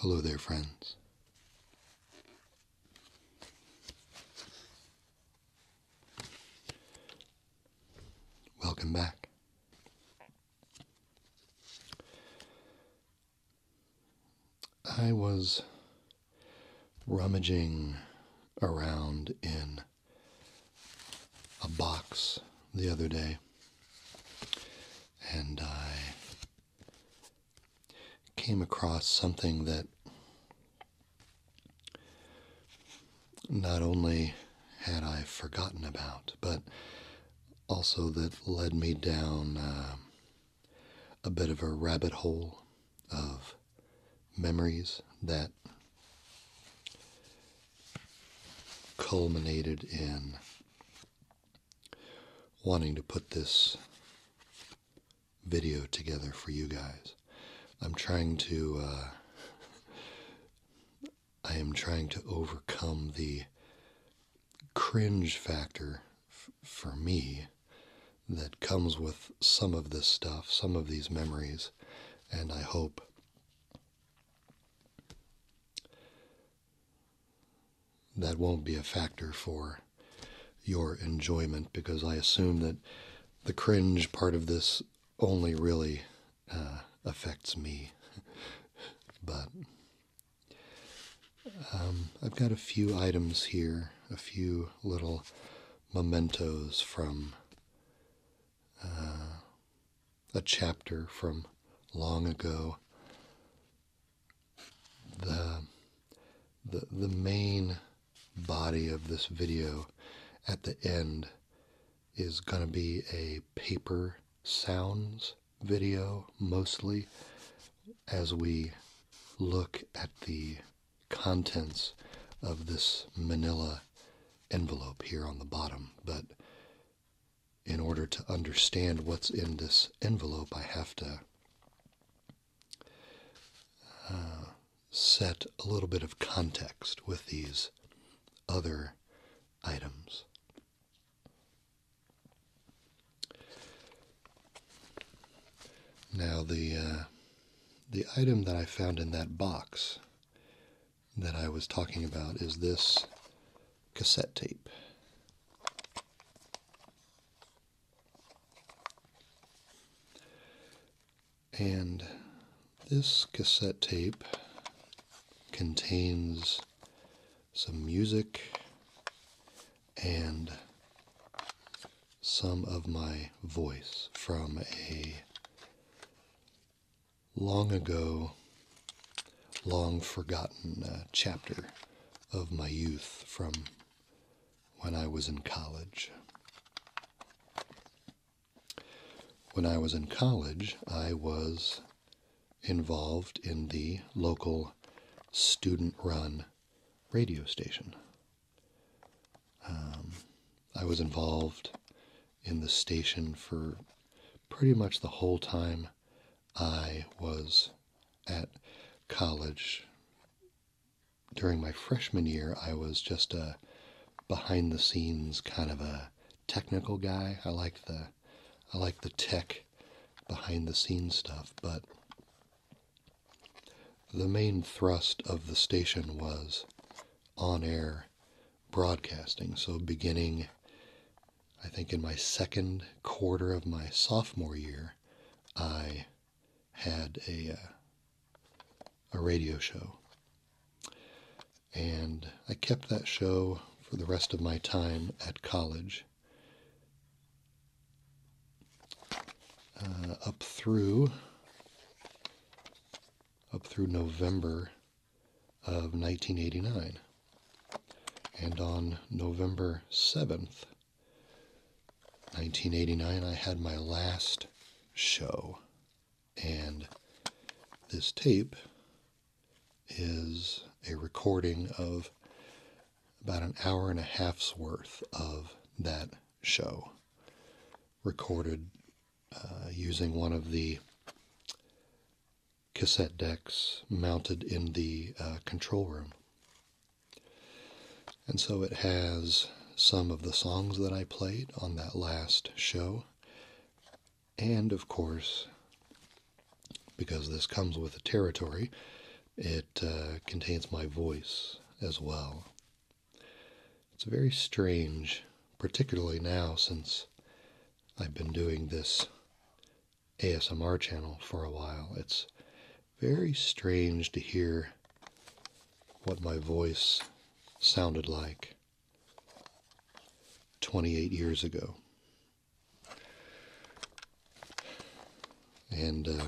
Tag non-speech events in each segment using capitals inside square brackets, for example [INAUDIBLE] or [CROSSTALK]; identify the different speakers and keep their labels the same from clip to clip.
Speaker 1: Hello there, friends. Welcome back. I was rummaging around in a box the other day and I came across something that not only had I forgotten about, but also that led me down um, a bit of a rabbit hole of memories that culminated in wanting to put this video together for you guys. I'm trying to. Uh, [LAUGHS] I am trying to overcome the cringe factor for me that comes with some of this stuff, some of these memories, and I hope that won't be a factor for your enjoyment because I assume that the cringe part of this only really uh, affects me. [LAUGHS] but um, I've got a few items here, a few little mementos from uh, a chapter from long ago. The, the, the main body of this video at the end is going to be a paper sounds video mostly as we look at the contents of this manila envelope here on the bottom. But in order to understand what's in this envelope, I have to. Uh, set a little bit of context with these other items. Now the uh, the item that I found in that box that I was talking about is this cassette tape. And this cassette tape contains some music and some of my voice from a long ago, long forgotten uh, chapter of my youth from when I was in college. When I was in college, I was involved in the local student run radio station. Um, I was involved in the station for pretty much the whole time I was at college. During my freshman year, I was just a behind the scenes kind of a technical guy. I like the I like the tech behind the scenes stuff, but the main thrust of the station was on air broadcasting. So, beginning, I think, in my second quarter of my sophomore year, I had a, uh, a radio show. And I kept that show for the rest of my time at college. Uh, up through up through November of 1989. And on November 7th, 1989, I had my last show and this tape is a recording of about an hour and a half's worth of that show, recorded uh, using one of the cassette decks mounted in the uh, control room. And so it has some of the songs that I played on that last show. And of course, because this comes with the territory, it uh, contains my voice as well. It's very strange, particularly now since I've been doing this ASMR channel for a while. It's very strange to hear what my voice sounded like 28 years ago. And uh,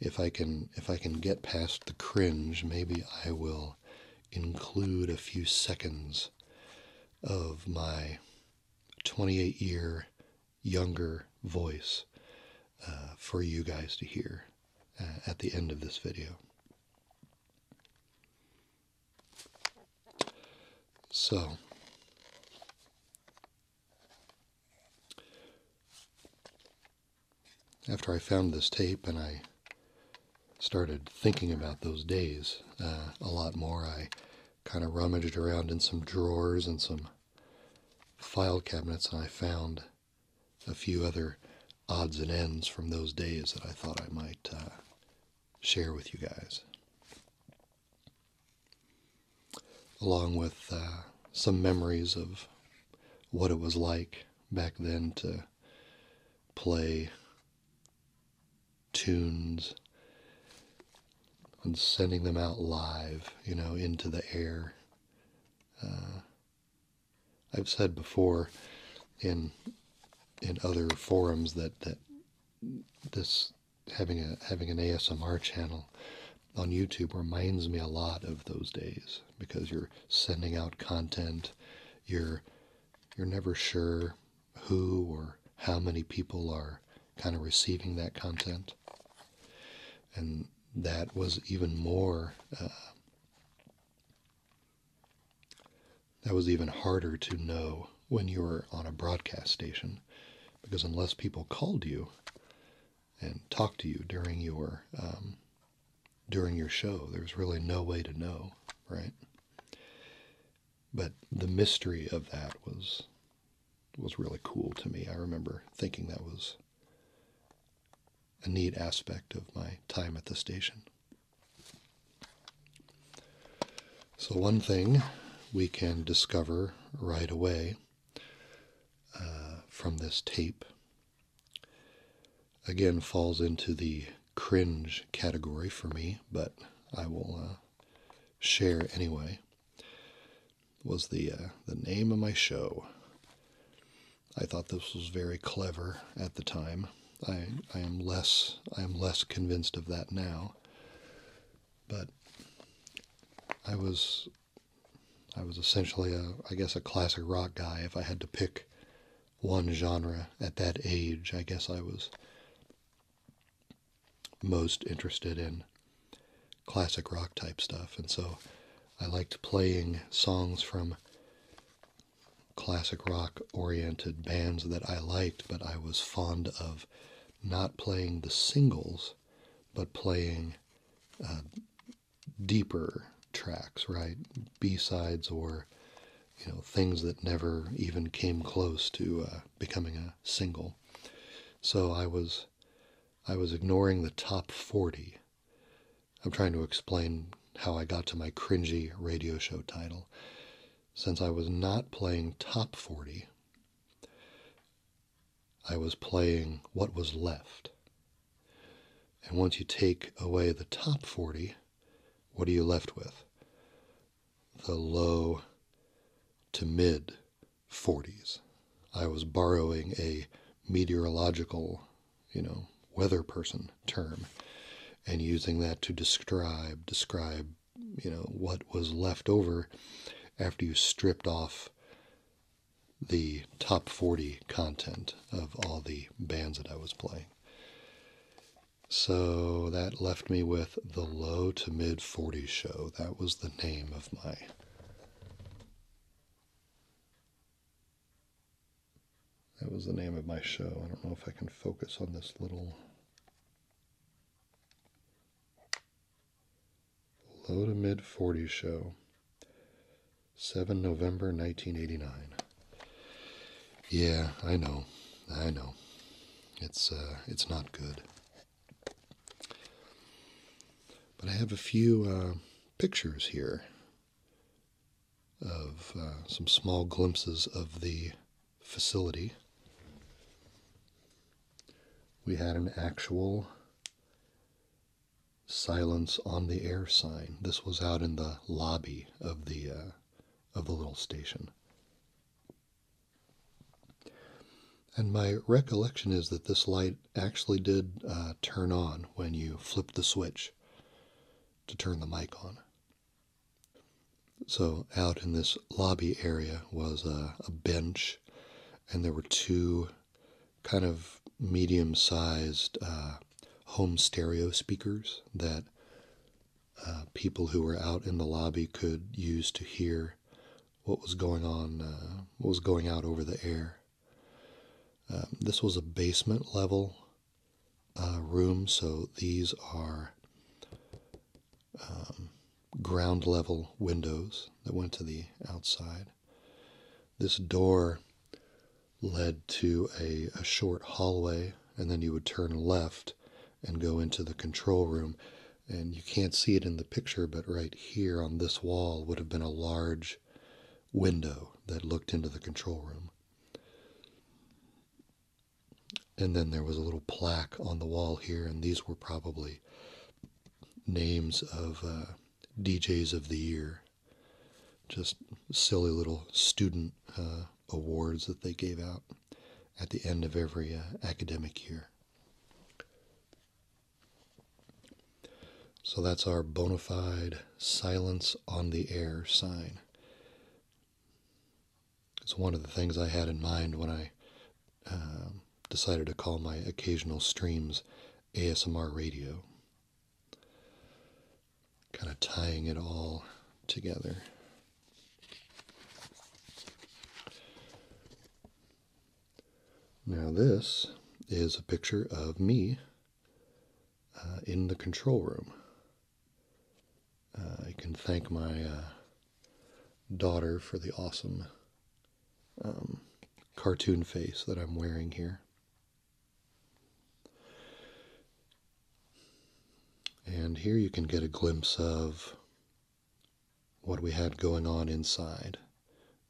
Speaker 1: if I can if I can get past the cringe, maybe I will include a few seconds of my 28 year younger voice uh, for you guys to hear uh, at the end of this video. So, after I found this tape and I started thinking about those days uh, a lot more, I kind of rummaged around in some drawers and some file cabinets and I found a few other odds and ends from those days that I thought I might uh, share with you guys, along with uh, some memories of what it was like back then to play tunes and sending them out live, you know, into the air. Uh, I've said before in in other forums that that this having a having an ASMR channel on YouTube reminds me a lot of those days because you're sending out content, you're you're never sure who or how many people are kind of receiving that content. And that was even more uh, that was even harder to know when you were on a broadcast station because unless people called you and talked to you during your um, during your show, there's really no way to know, right? But the mystery of that was was really cool to me. I remember thinking that was a neat aspect of my time at the station. So, one thing we can discover right away uh, from this tape again falls into the cringe category for me, but I will uh, share anyway. Was the uh, the name of my show? I thought this was very clever at the time. I, I am less I am less convinced of that now. But I was I was essentially a I guess a classic rock guy. If I had to pick one genre at that age, I guess I was most interested in classic rock type stuff. And so I liked playing songs from classic rock oriented bands that I liked, but I was fond of not playing the singles, but playing uh, deeper tracks, right? B sides or you know things that never even came close to uh, becoming a single. So I was I was ignoring the top 40 I'm trying to explain how I got to my cringy radio show title. Since I was not playing top 40, I was playing what was left. And once you take away the top 40, what are you left with? The low to mid 40s. I was borrowing a meteorological you know, weather person term and using that to describe describe you know what was left over after you stripped off the top 40 content of all the bands that I was playing. So that left me with the low to mid forty show. That was the name of my that was the name of my show. I don't know if I can focus on this little low to mid forty show. 7 November 1989. Yeah, I know. I know. It's uh it's not good. But I have a few uh, pictures here of uh, some small glimpses of the facility. We had an actual silence on the air sign. This was out in the lobby of the uh, of the little station. And my recollection is that this light actually did uh, turn on when you flipped the switch to turn the mic on. So, out in this lobby area was a, bench, and there were two kind of medium sized uh, home stereo speakers that uh, people who were out in the lobby could use to hear what was going on, uh, what was going out over the air. Um, this was a basement level uh, room. So these are um, ground level windows that went to the outside. This door led to a short hallway, and then you would turn left and go into the control room. And you can't see it in the picture, but right here on this wall would have been a large window that looked into the control room. And then there was a little plaque on the wall here, and these were probably names of uh, DJs of the year. Just silly little student uh, awards that they gave out at the end of every uh, academic year. So that's our bona fide silence on the air sign. It's one of the things I had in mind when I um, decided to call my occasional streams ASMR radio. Kind of tying it all together. Now, this is a picture of me uh, in the control room. Uh, I can thank my uh, daughter for the awesome um, cartoon face that I'm wearing here. And here you can get a glimpse of what we had going on inside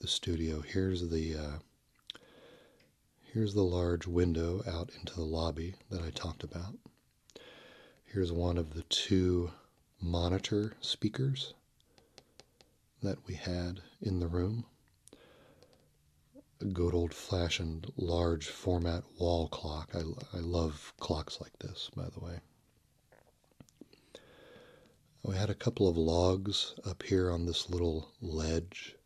Speaker 1: the studio. Here's the uh, Here's the large window out into the lobby that I talked about. Here's one of the two monitor speakers that we had in the room. A good old fashioned large format wall clock. I, I love clocks like this, by the way. We had a couple of logs up here on this little ledge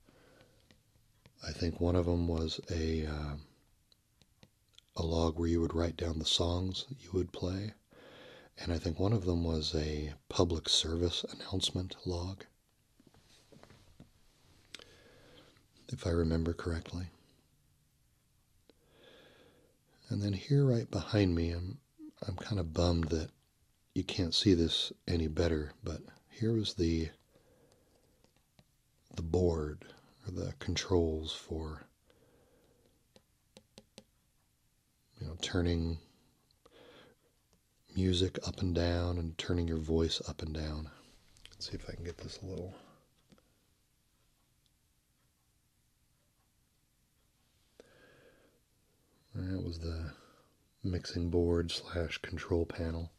Speaker 1: I think one of them was a um, a log where you would write down the songs you would play, and I think one of them was a public service announcement log, if I remember correctly. And then here, right behind me, I'm I'm kind of bummed that you can't see this any better, but here was the the board or the controls for you know turning music up and down and turning your voice up and down. Let's see if I can get this a little that was the mixing board slash control panel.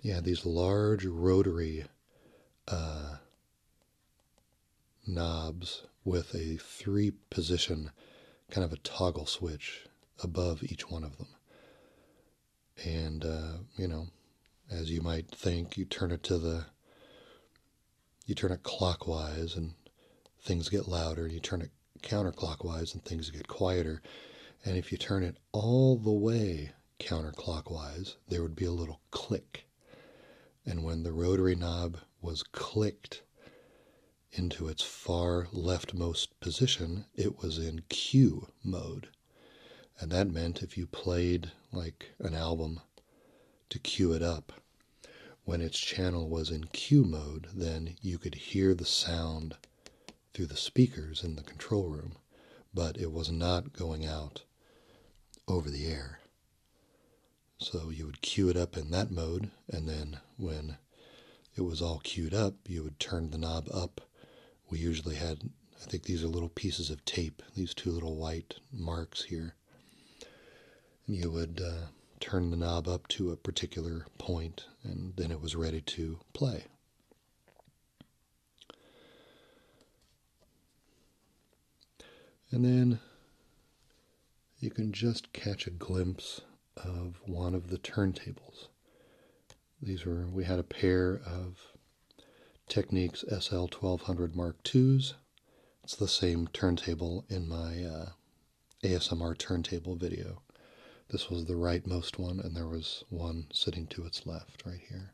Speaker 1: Yeah, these large rotary uh, knobs with a three position kind of a toggle switch above each one of them. And, uh, you know, as you might think, you turn it to the, you turn it clockwise and things get louder. and You turn it counterclockwise and things get quieter. And if you turn it all the way counterclockwise, there would be a little click. And when the rotary knob was clicked into its far leftmost position, it was in cue mode. And that meant if you played like an album to cue it up, when its channel was in cue mode, then you could hear the sound through the speakers in the control room, but it was not going out over the air. So you would cue it up in that mode, and then when it was all queued up, you would turn the knob up. We usually had, I think these are little pieces of tape, these two little white marks here. And you would uh, turn the knob up to a particular point, and then it was ready to play. And then you can just catch a glimpse of one of the turntables. These were, we had a pair of Techniques SL 1200 Mark IIs. It's the same turntable in my uh, ASMR turntable video this was the rightmost one, and there was one sitting to its left right here.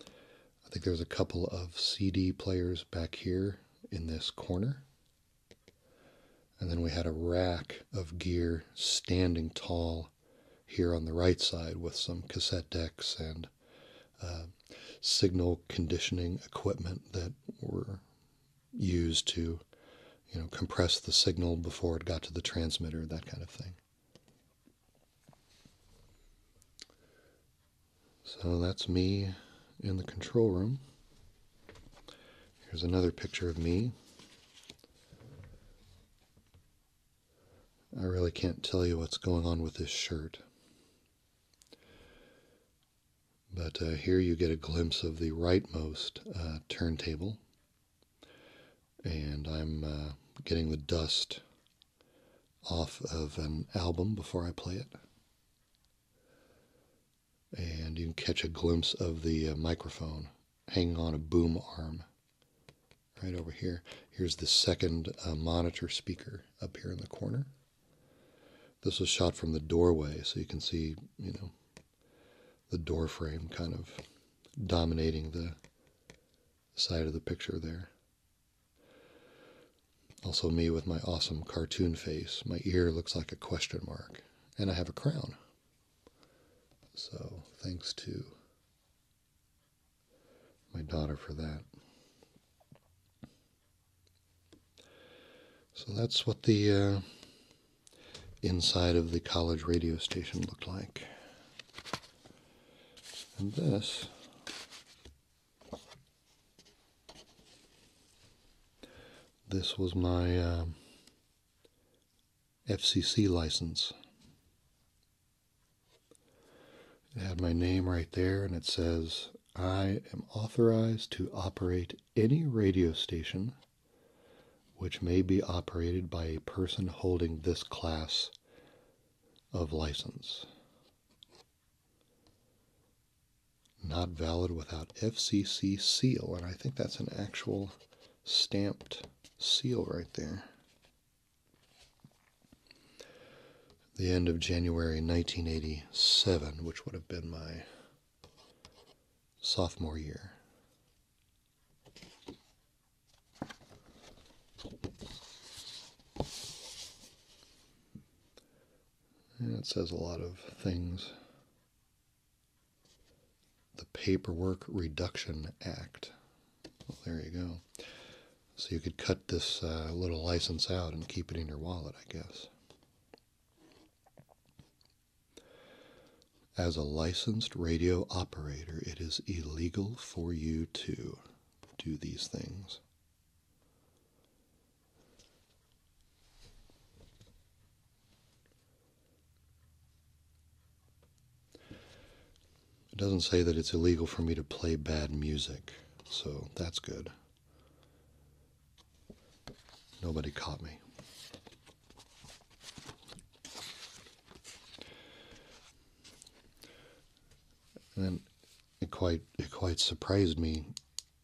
Speaker 1: I think there's a couple of CD players back here in this corner. And then we had a rack of gear standing tall here on the right side with some cassette decks and uh, signal conditioning equipment that were used to you know, compress the signal before it got to the transmitter, that kind of thing. So that's me in the control room. Here's another picture of me. I really can't tell you what's going on with this shirt. But uh, here you get a glimpse of the rightmost uh, turntable and I'm uh, getting the dust off of an album before I play it. And you can catch a glimpse of the uh, microphone hanging on a boom arm right over here. Here's the second uh, monitor speaker up here in the corner. This was shot from the doorway, so you can see, you know, the door frame kind of dominating the side of the picture there. Also, me with my awesome cartoon face. My ear looks like a question mark, and I have a crown. So, thanks to my daughter for that. So, that's what the uh, inside of the college radio station looked like. And this this was my um, FCC license. It had my name right there, and it says, I am authorized to operate any radio station which may be operated by a person holding this class of license. Not valid without FCC seal, and I think that's an actual stamped seal right there. The end of January 1987, which would have been my sophomore year. And it says a lot of things. The Paperwork Reduction Act. there you go. So you could cut this uh, little license out and keep it in your wallet, I guess. As a licensed radio operator, it is illegal for you to do these things. It doesn't say that it's illegal for me to play bad music, so that's good. Nobody caught me. And it quite it quite surprised me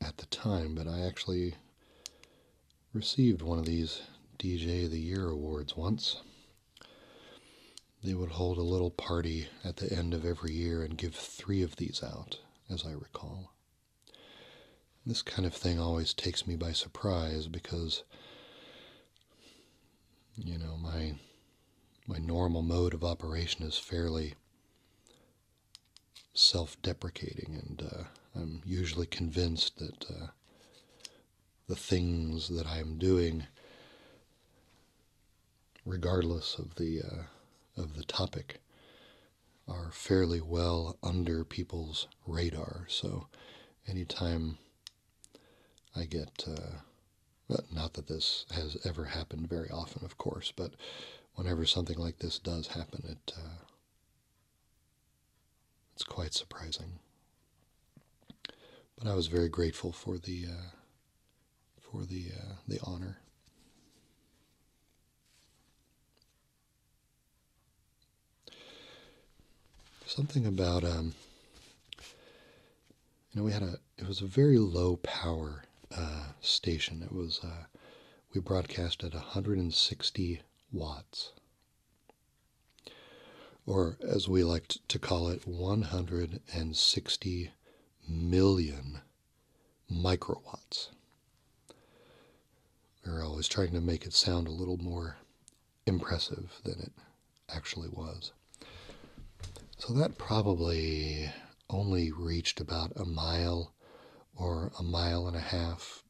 Speaker 1: at the time, but I actually received one of these DJ of the Year awards once. They would hold a little party at the end of every year and give three of these out, as I recall. This kind of thing always takes me by surprise because you know, my my normal mode of operation is fairly self-deprecating and uh, I'm usually convinced that uh, the things that I'm doing regardless of the uh, of the topic are fairly well under people's radar so anytime I get, uh, not that this has ever happened very often, of course, but whenever something like this does happen, it uh, it's quite surprising. But I was very grateful for the uh, for the the honor. Something about um, you know, we had a it was a very low power uh, station. It was uh, we broadcast at 160 watts, or as we like to call it, 160 million microwatts. We were always trying to make it sound a little more impressive than it actually was. So that probably only reached about a mile or a mile and a half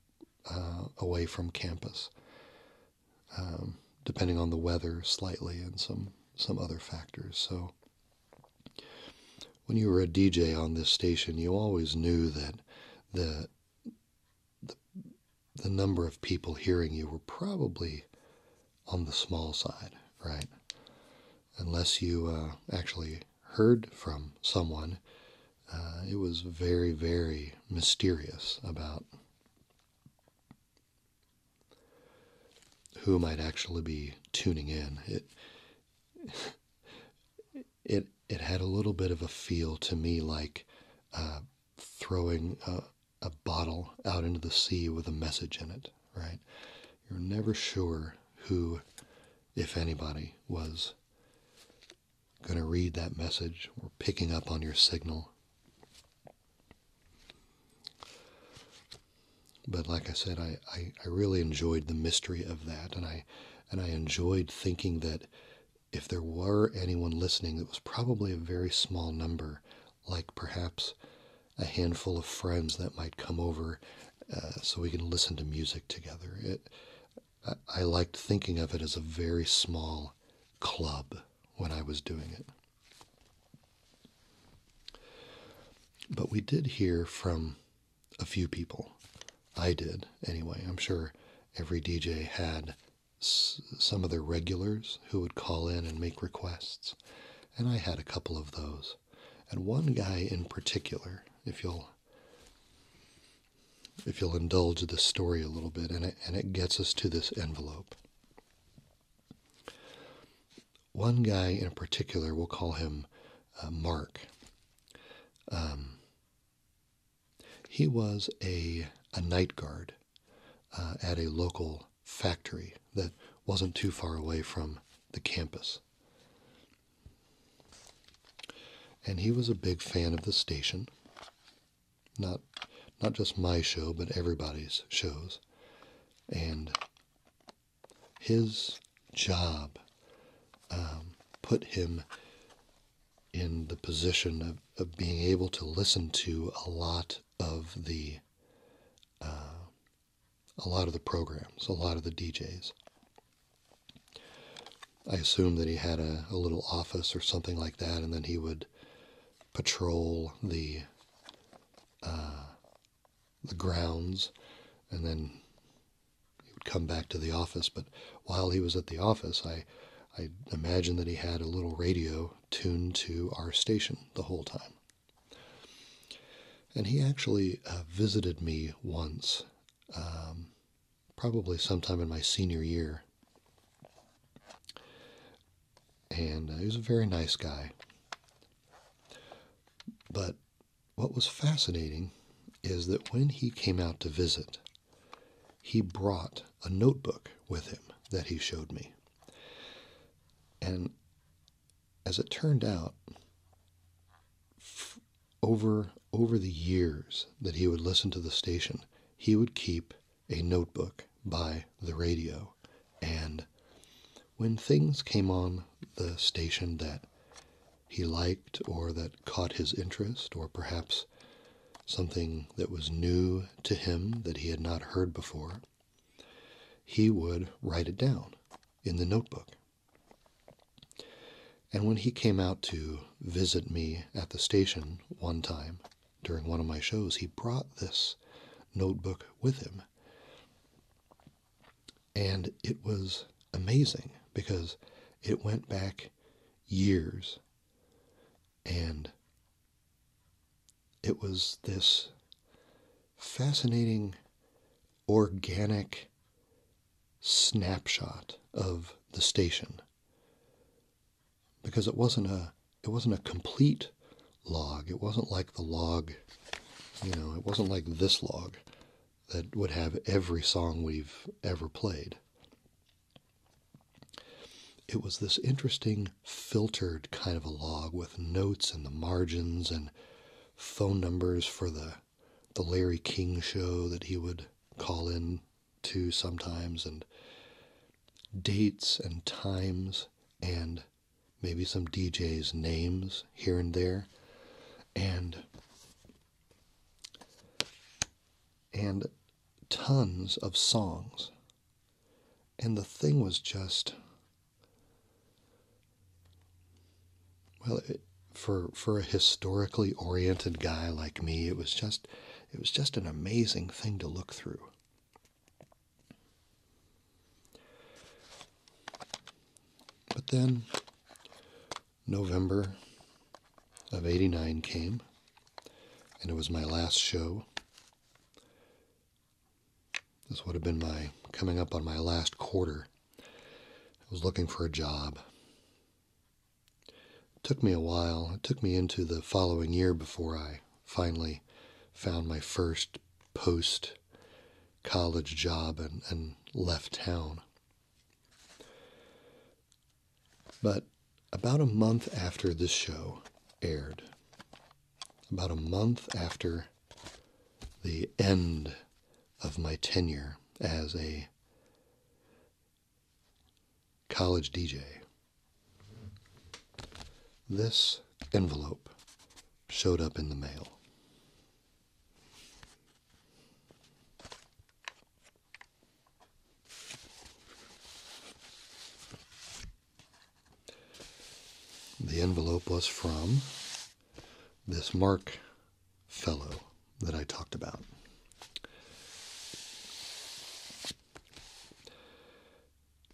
Speaker 1: uh, away from campus, um, depending on the weather slightly and some, some other factors. So when you were a DJ on this station, you always knew that the the, the number of people hearing you were probably on the small side, right? Unless you uh, actually heard from someone, uh, it was very, very mysterious about who might actually be tuning in. It [LAUGHS] it it had a little bit of a feel to me like uh, throwing a, bottle out into the sea with a message in it, right? You're never sure who, if anybody, was going to read that message or picking up on your signal. But like I said, I, I really enjoyed the mystery of that and I and I enjoyed thinking that if there were anyone listening, it was probably a very small number, like perhaps a handful of friends that might come over uh, so we can listen to music together. It, I liked thinking of it as a very small club when I was doing it. But we did hear from a few people. I did, anyway. I'm sure every DJ had some of the regulars who would call in and make requests. And I had a couple of those. And one guy in particular, if you'll if you'll indulge the story a little bit, and it, and it gets us to this envelope. One guy in particular, we'll call him uh, Mark. Um, he was a, a night guard uh, at a local factory that wasn't too far away from the campus. And he was a big fan of the station. Not not just my show, but everybody's shows. And his job um, put him in the position of, of being able to listen to a lot of the uh, a lot of the programs, a lot of the DJs. I assume that he had a, a little office or something like that, and then he would patrol the uh, the grounds, and then he would come back to the office. But while he was at the office, I I imagine that he had a little radio tuned to our station the whole time. And he actually uh, visited me once, um, probably sometime in my senior year. And uh, he was a very nice guy. But what was fascinating is that when he came out to visit, he brought a notebook with him that he showed me. And as it turned out, over over the years that he would listen to the station, he would keep a notebook by the radio. And when things came on the station that he liked or that caught his interest, or perhaps something that was new to him that he had not heard before, he would write it down in the notebook. And when he came out to visit me at the station one time during one of my shows, he brought this notebook with him. And it was amazing because it went back years and it was this fascinating, organic snapshot of the station because it wasn't a it wasn't a complete log it wasn't like the log you know it wasn't like this log that would have every song we've ever played it was this interesting filtered kind of a log with notes in the margins and phone numbers for the the Larry King show that he would call in to sometimes and dates and times and maybe some DJs names here and there and and tons of songs. And the thing was just well, for for a historically oriented guy like me, it was just it was just an amazing thing to look through. But then November of 89 came, and it was my last show. This would have been my coming up on my last quarter. I was looking for a job. took me a while. It took me into the following year before I finally found my first post college job and left town. But about a month after this show aired, about a month after the end of my tenure as a college DJ, this envelope showed up in the mail. The envelope was from this Mark fellow that I talked about.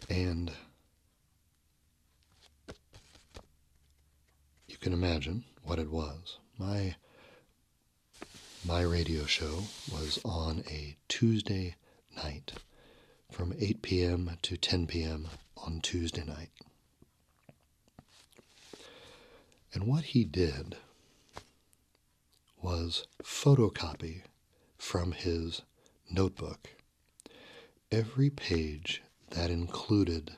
Speaker 1: And you can imagine what it was. My my radio show was on a Tuesday night from 8 p.m. to 10 p.m. on Tuesday night. And what he did was photocopy from his notebook every page that included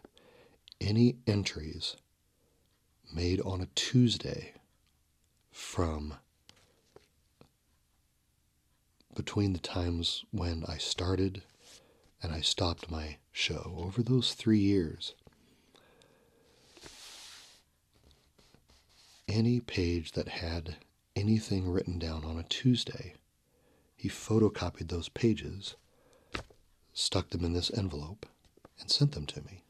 Speaker 1: any entries made on a Tuesday from between the times when I started and I stopped my show over those three years. Any page that had anything written down on a Tuesday, he photocopied those pages, stuck them in this envelope, and sent them to me.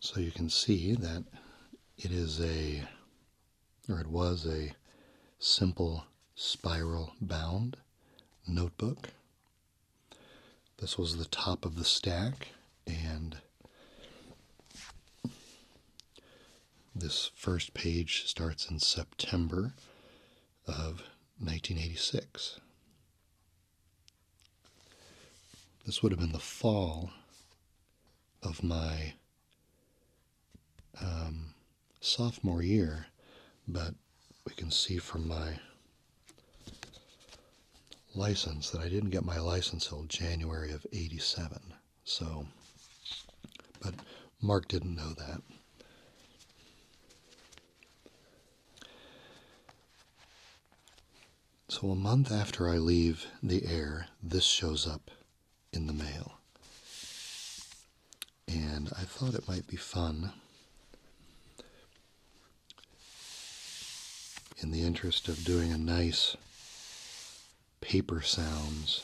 Speaker 1: So you can see that it is a or it was a simple spiral bound notebook. This was the top of the stack, and this first page starts in September of 1986. This would have been the fall of my um, sophomore year, but we can see from my license that I didn't get my license till January of 87. So, but Mark didn't know that. So, a month after I leave the air, this shows up in the mail. And I thought it might be fun, in the interest of doing a nice paper sounds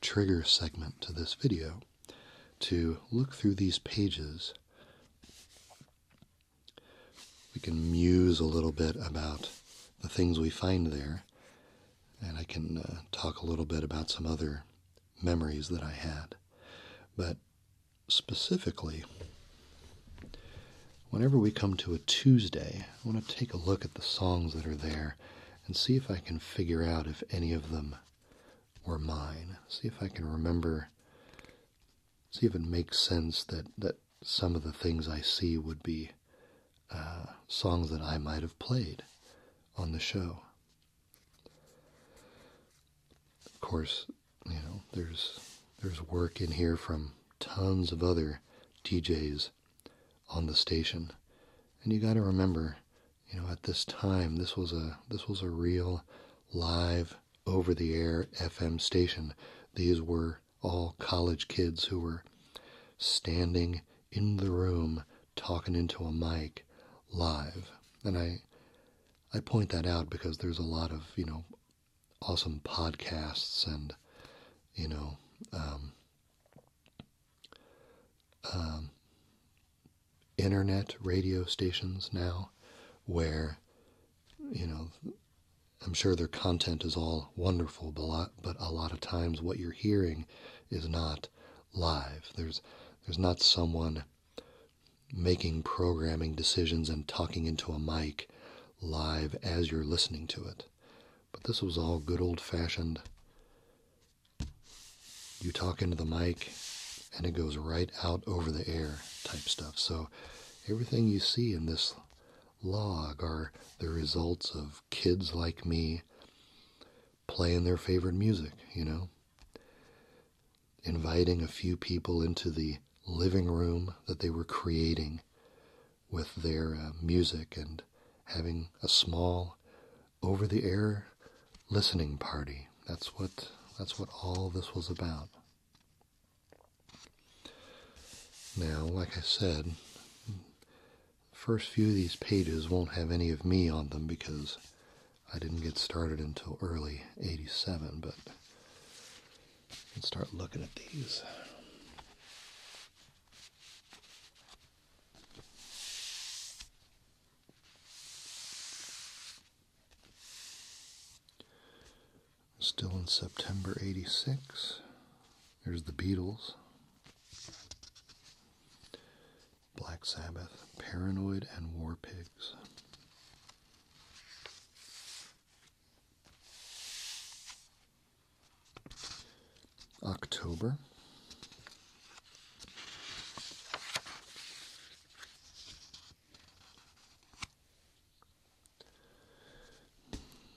Speaker 1: trigger segment to this video, to look through these pages. We can muse a little bit about the things we find there and I can uh, talk a little bit about some other memories that I had. But specifically, whenever we come to a Tuesday, I want to take a look at the songs that are there and see if I can figure out if any of them were mine. See if I can remember, see if it makes sense that, that some of the things I see would be uh, songs that I might have played on the show. Of course, you know there's there's work in here from tons of other DJs on the station, and you got to remember, you know, at this time this was a this was a real live over the air FM station. These were all college kids who were standing in the room talking into a mic live. And I I point that out because there's a lot of, you know, awesome podcasts and, you know, um, um, internet radio stations now where, you know, I'm sure their content is all wonderful, but but a lot of times what you're hearing is not live. There's there's not someone making programming decisions and talking into a mic live as you're listening to it. But this was all good old fashioned. You talk into the mic and it goes right out over the air type stuff. So everything you see in this log are the results of kids like me playing their favorite music, you know, inviting a few people into the living room that they were creating with their uh, music and having a small over the air listening party. That's what that's what all this was about. Now, like I said, first few of these pages won't have any of me on them because I didn't get started until early 87, but let's start looking at these. Still in September 86. There's the Beatles, Black Sabbath, Paranoid, and War Pigs. October.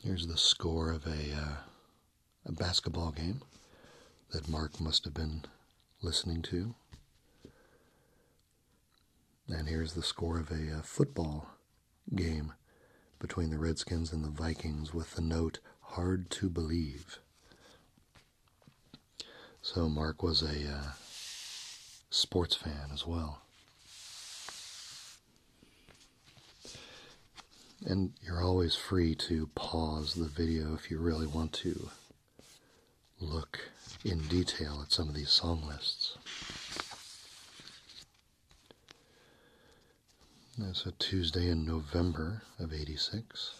Speaker 1: Here's the score of a uh, a basketball game that Mark must have been listening to. And here's the score of a, uh, football game between the Redskins and the Vikings with the note hard to believe. So Mark was a uh, sports fan as well. And you're always free to pause the video if you really want to look in detail at some of these song lists. That's a Tuesday in November of 86.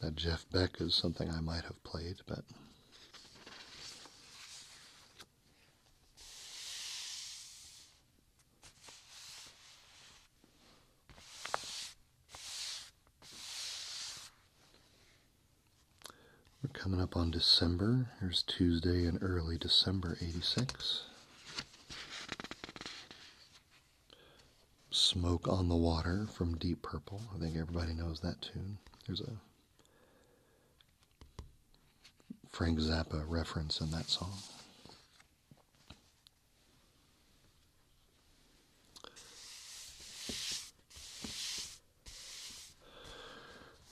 Speaker 1: That Jeff Beck is something I might have played, but we're coming up on December. Here's Tuesday in early December 86. Smoke on the Water from Deep Purple. I think everybody knows that tune. There's a Frank Zappa reference in that song.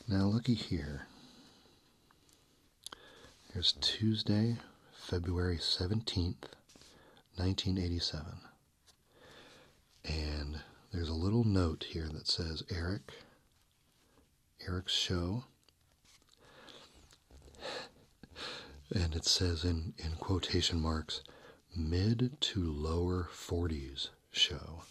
Speaker 1: Now, looky here. There's Tuesday, February 17th, 1987. And there's a little note here that says, Eric, Eric's show. And it says in, in quotation marks, mid to lower 40s show.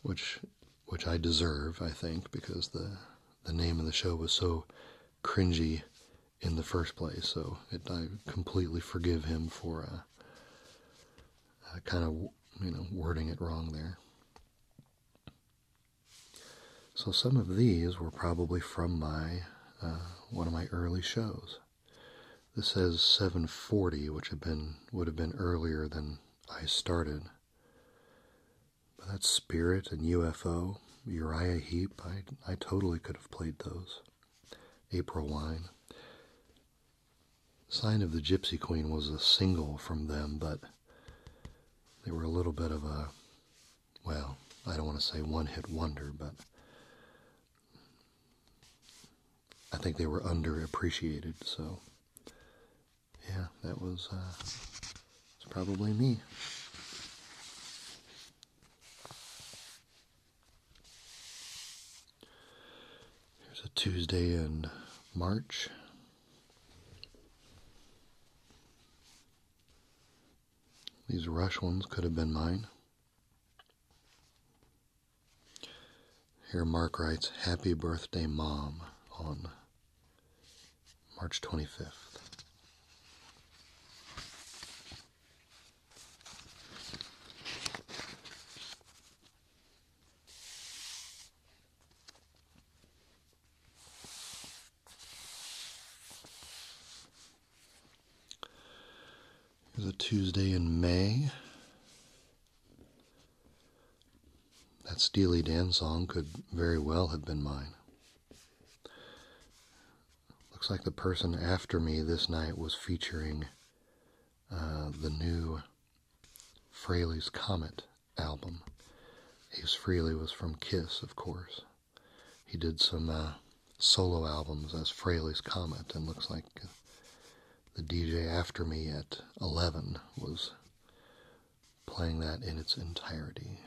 Speaker 1: Which which I deserve, I think, because the the name of the show was so cringy in the first place. So it, I completely forgive him for uh, uh kind of you know wording it wrong there. So some of these were probably from my uh, one of my early shows. This says 740, which have been would have been earlier than I started. But that's Spirit and UFO, Uriah Heep. I I totally could have played those. April Wine, Sign of the Gypsy Queen was a single from them, but they were a little bit of a, well, I don't want to say one hit wonder, but I think they were underappreciated. So, yeah, that was, uh, probably me. Here's a Tuesday in March these rush ones could have been mine. Here, Mark writes, Happy birthday, Mom, on March 25th. Here's a Tuesday in May. That Steely Dan song could very well have been mine. Looks like the person after me this night was featuring uh, the new Fraley's Comet album. Ace Frehley was from Kiss, of course. He did some uh, solo albums as Fraley's Comet, and looks like uh, the DJ after me at 11 was playing that in its entirety.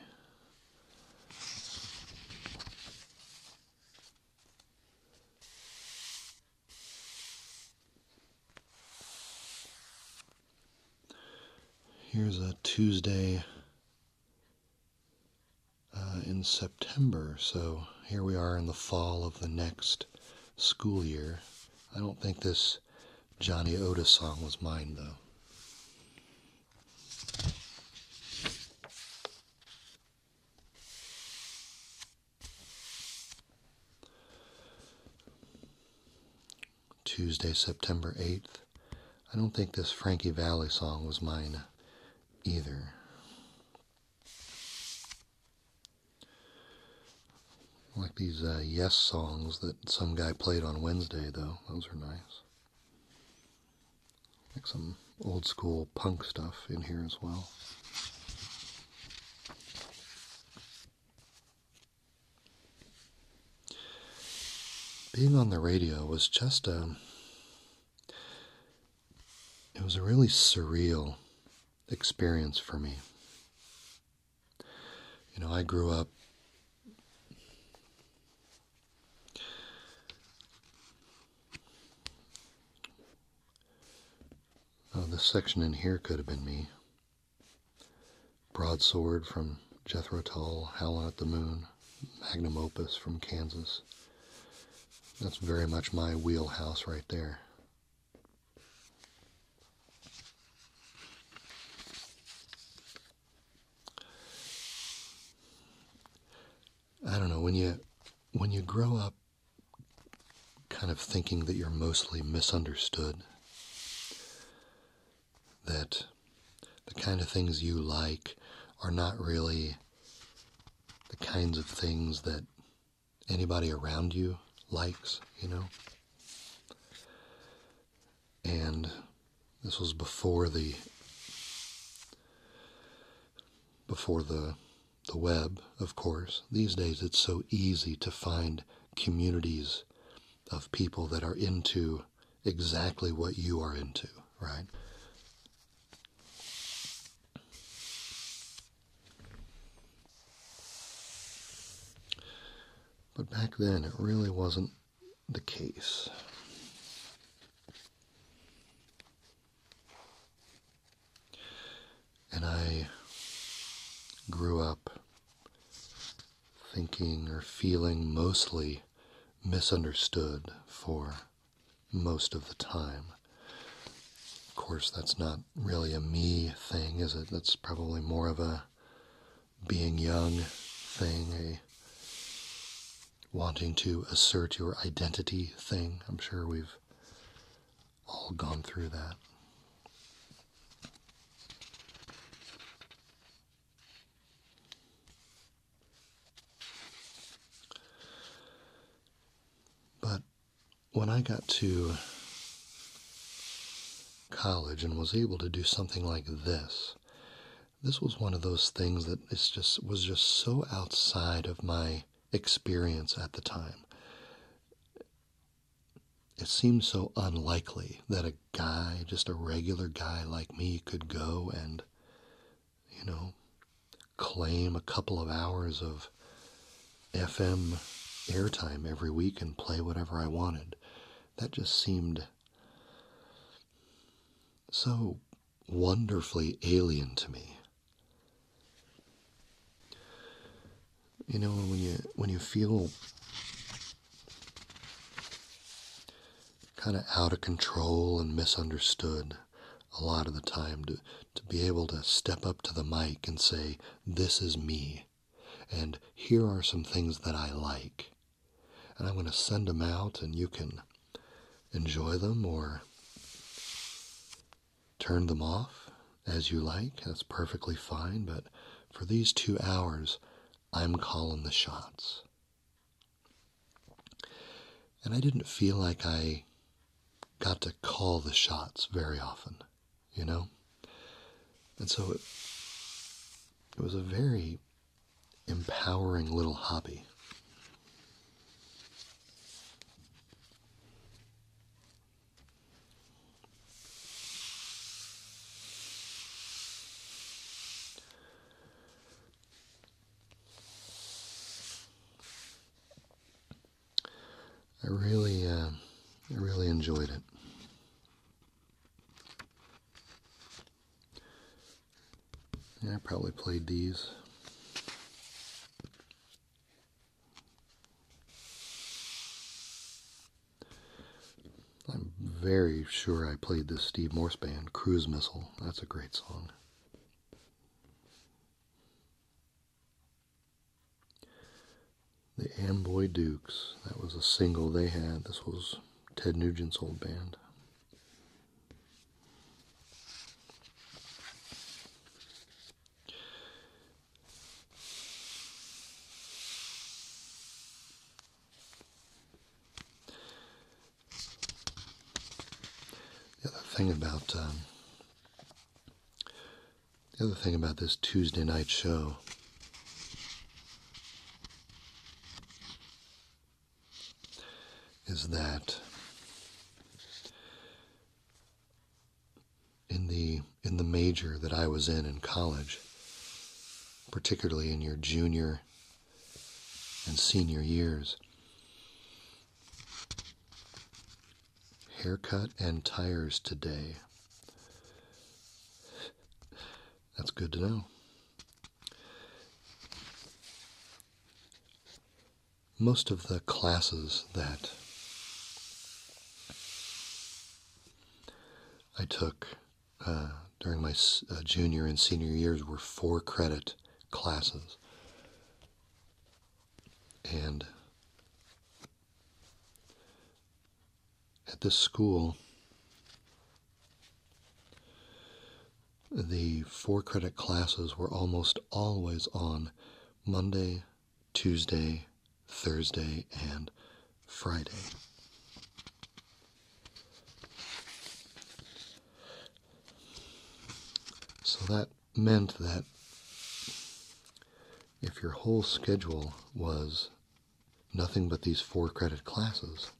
Speaker 1: Here's a Tuesday uh, in September, so here we are in the fall of the next school year. I don't think this Johnny Otis song was mine, though. Tuesday, September 8th. I don't think this Frankie Valley song was mine either. like these uh, Yes songs that some guy played on Wednesday, though. Those are nice. Like some old school punk stuff in here as well. Being on the radio was just a. It was a really surreal experience for me. You know, I grew up oh, this section in here could have been me. Broadsword from Jethro Tull, Howlin' at the Moon, magnum opus from Kansas. That's very much my wheelhouse right there. I don't know when you when you grow up kind of thinking that you're mostly misunderstood, that the kind of things you like are not really the kinds of things that anybody around you likes, you know? And this was before the before the the web, of course. These days it's so easy to find communities of people that are into exactly what you are into, right? But back then, it really wasn't the case. And I grew up thinking or feeling mostly misunderstood for most of the time. Of course, that's not really a me thing, is it? That's probably more of a being young thing, a wanting to assert your identity thing. I'm sure we've all gone through that. But when I got to college and was able to do something like this, this was one of those things that is just was just so outside of my experience at the time it seemed so unlikely that a guy, just a regular guy like me, could go and, you know, claim a couple of hours of FM airtime every week and play whatever I wanted. That just seemed so wonderfully alien to me you know when you when you feel kind of out of control and misunderstood a lot of the time to to be able to step up to the mic and say this is me and here are some things that I like and I'm going to send them out and you can enjoy them or turn them off as you like. That's perfectly fine. But for these two hours, I'm calling the shots. And I didn't feel like I got to call the shots very often, you know? And so it, was a very empowering little hobby. I really, uh, I really enjoyed it. I probably played these. I'm very sure I played this Steve Morse band, Cruise Missile. That's a great song. The Amboy Dukes. That was a single they had. This was Ted Nugent's old band. The other thing about um, the other thing about this Tuesday night show is that in the in the major that I was in in college, particularly in your junior and senior years. Haircut and tires today. That's good to know. Most of the classes that I took uh, during my uh, junior and senior years were four credit classes. And at this school, the four credit classes were almost always on Monday, Tuesday, Thursday, and Friday. So that meant that if your whole schedule was nothing but these four credit classes,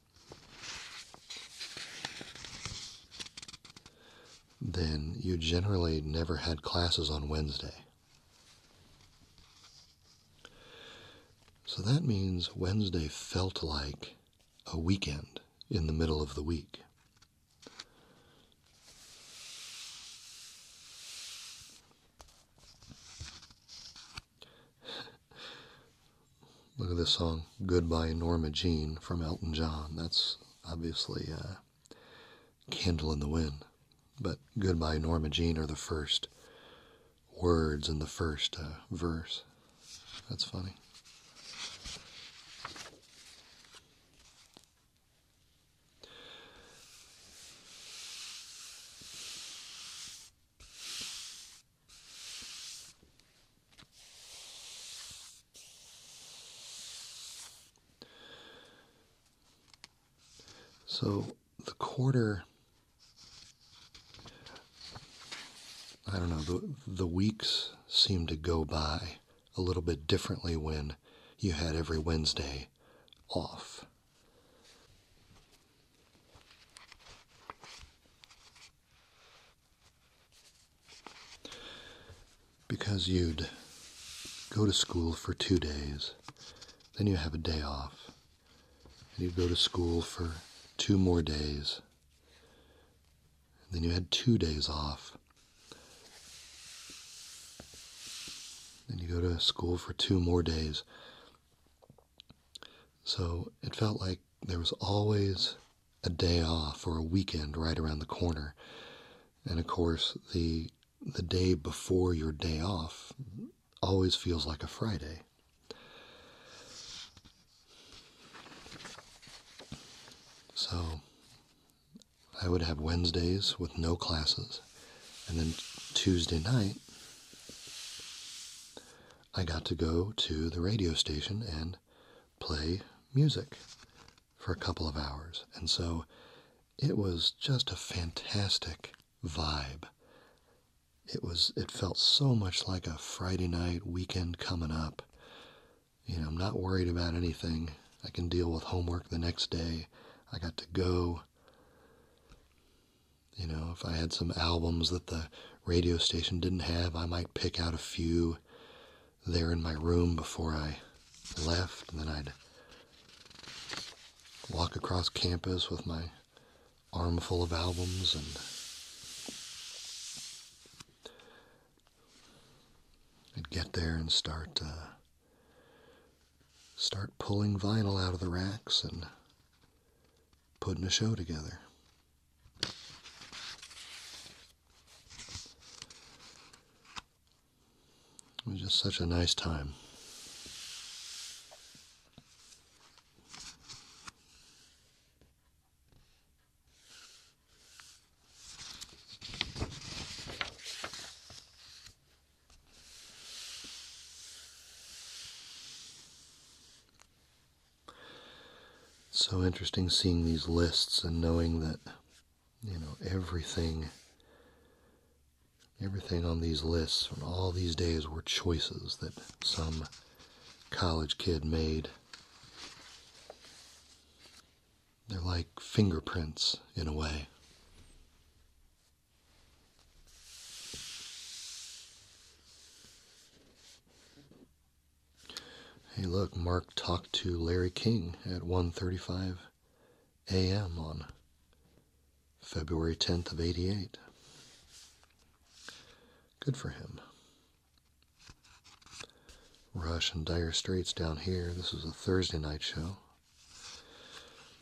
Speaker 1: then you generally never had classes on Wednesday. So that means Wednesday felt like a weekend in the middle of the week. Look at this song, Goodbye Norma Jean from Elton John. That's obviously uh, Candle in the Wind but Goodbye Norma Jean are the first words in the first uh, verse. That's funny. So the quarter I don't know, the, the weeks seemed to go by a little bit differently when you had every Wednesday off. Because you'd go to school for two days, then you have a day off, and you'd go to school for two more days. Then you had two days off. Then you go to school for two more days. So it felt like there was always a day off or a weekend right around the corner. And of course, the the day before your day off always feels like a Friday. So I would have Wednesdays with no classes, and then Tuesday night, I got to go to the radio station and play music for a couple of hours. And so it was just a fantastic vibe. It was it felt so much like a Friday night weekend coming up. You know, I'm not worried about anything. I can deal with homework the next day. I got to go. You know, if I had some albums that the radio station didn't have, I might pick out a few there in my room before I left, and then I'd walk across campus with my armful of albums and I'd get there and start uh, start pulling vinyl out of the racks and putting a show together. It was just such a nice time so interesting seeing these lists and knowing that you know everything Everything on these lists on all these days were choices that some college kid made. They're like fingerprints in a way. Hey, look, Mark talked to Larry King at 1:35 a.m. on February 10th of 88. Good for him. Rush in Dire Straits down here. This is a Thursday night show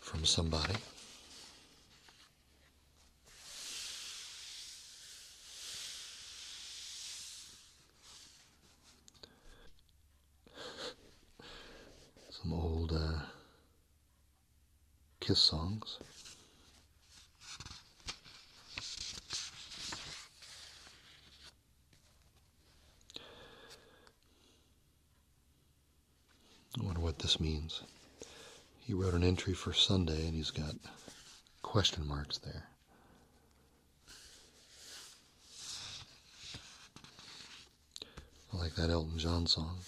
Speaker 1: from somebody. Some old uh, Kiss songs. I wonder what this means. He wrote an entry for Sunday and he's got question marks there. I like that Elton John song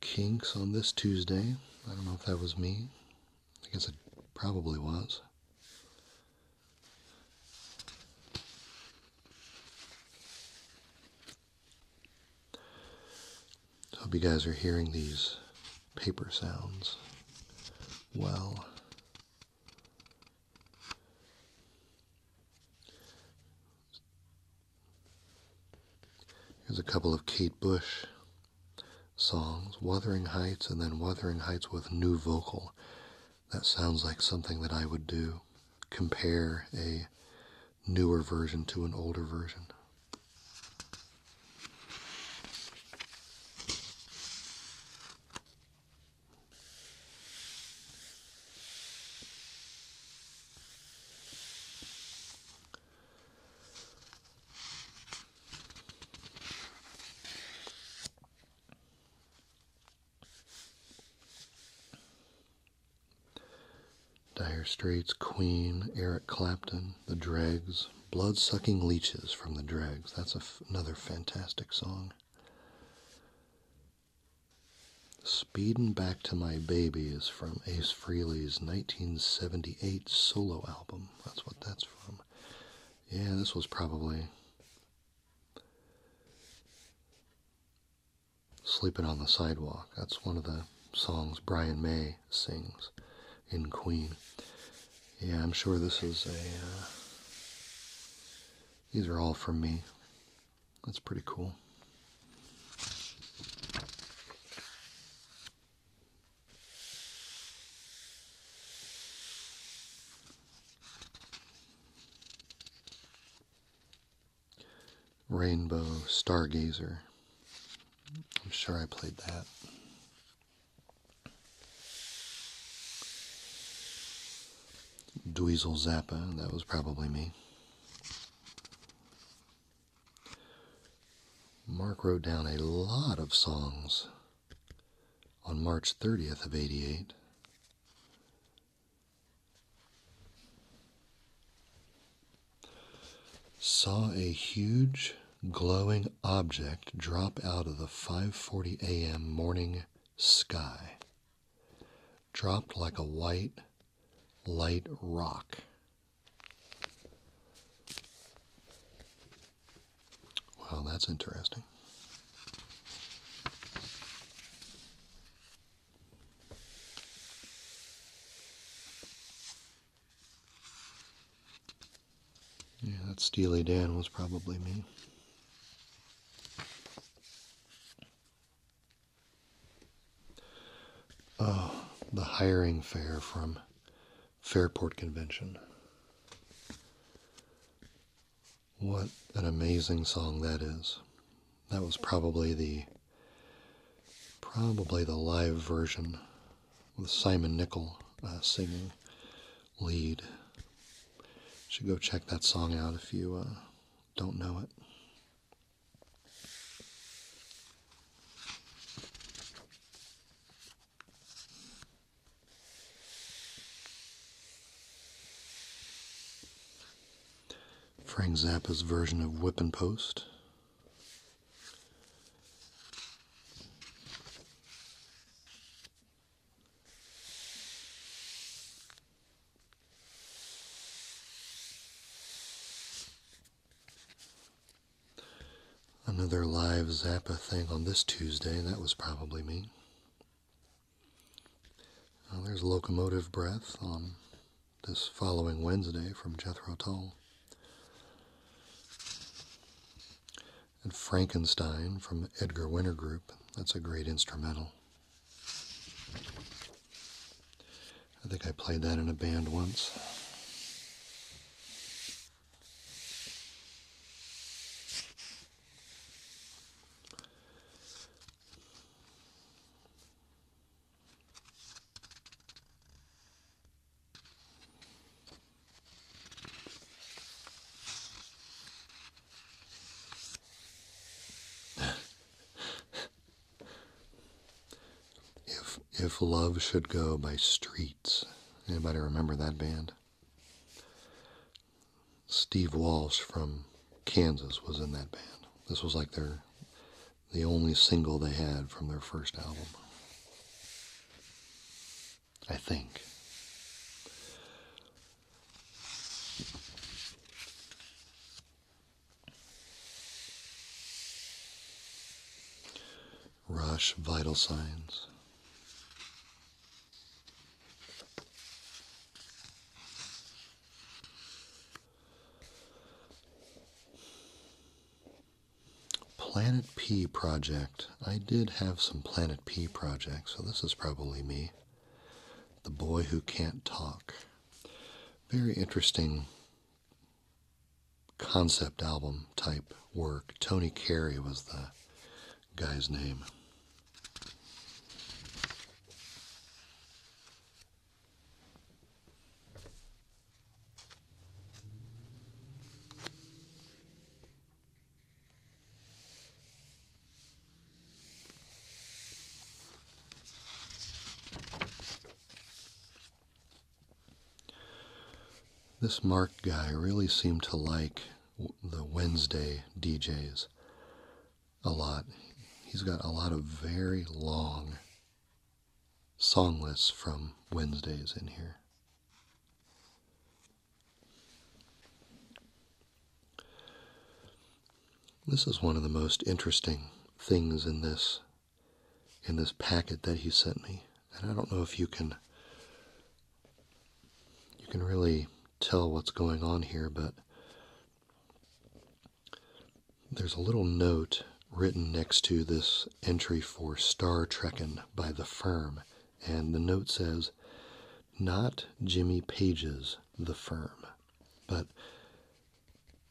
Speaker 1: kinks on this Tuesday. I don't know if that was me. I guess it probably was. Hope you guys are hearing these paper sounds well. Here's a couple of Kate Bush songs Wuthering Heights and then Wuthering Heights with New Vocal. That sounds like something that I would do. Compare a newer version to an older version. Dire Straits Queen, Eric Clapton, The Dregs, Blood Sucking Leeches from The Dregs. That's another fantastic song. Speedin' Back to My Baby is from Ace Frehley's 1978 solo album. That's what that's from. Yeah, this was probably Sleeping on the Sidewalk. That's one of the songs Brian May sings in Queen. Yeah, I'm sure this is a. Uh, these are all from me. That's pretty cool. Rainbow Stargazer. I'm sure I played that. Dweezil Zappa, that was probably me. Mark wrote down a lot of songs on March 30th of 88. Saw a huge glowing object drop out of the 5:40 a.m. morning sky. Dropped like a white light rock. Well, that's interesting. Yeah, that Steely Dan was probably me. Oh, the hiring fair from Fairport Convention. What an amazing song that is that was probably the probably the live version with Simon Nicol uh, singing lead. should go check that song out if you uh, don't know it. Frank Zappa's version of Whip and Post. Another live Zappa thing on this Tuesday, that was probably me. there's Locomotive Breath on this following Wednesday from Jethro Tull. And Frankenstein from Edgar Winter Group. That's a great instrumental. I think I played that in a band once if if love should go by streets anybody remember that band steve walsh from kansas was in that band this was like their the only single they had from their first album. I think. Rush Vital Signs. Planet P project. I did have some Planet P projects, so this is probably me. The Boy Who Can't Talk. Very interesting concept album type work. Tony Carey was the guy's name. This Mark guy really seemed to like the Wednesday DJs a lot. He's got a lot of very long Songless from Wednesdays in here. This is one of the most interesting things in this in this packet that he sent me. And I don't know if you can you can really tell what's going on here, but there's a little note written next to this entry for Star Trekkin' by the firm, and the note says, Not Jimmy Page's The Firm. But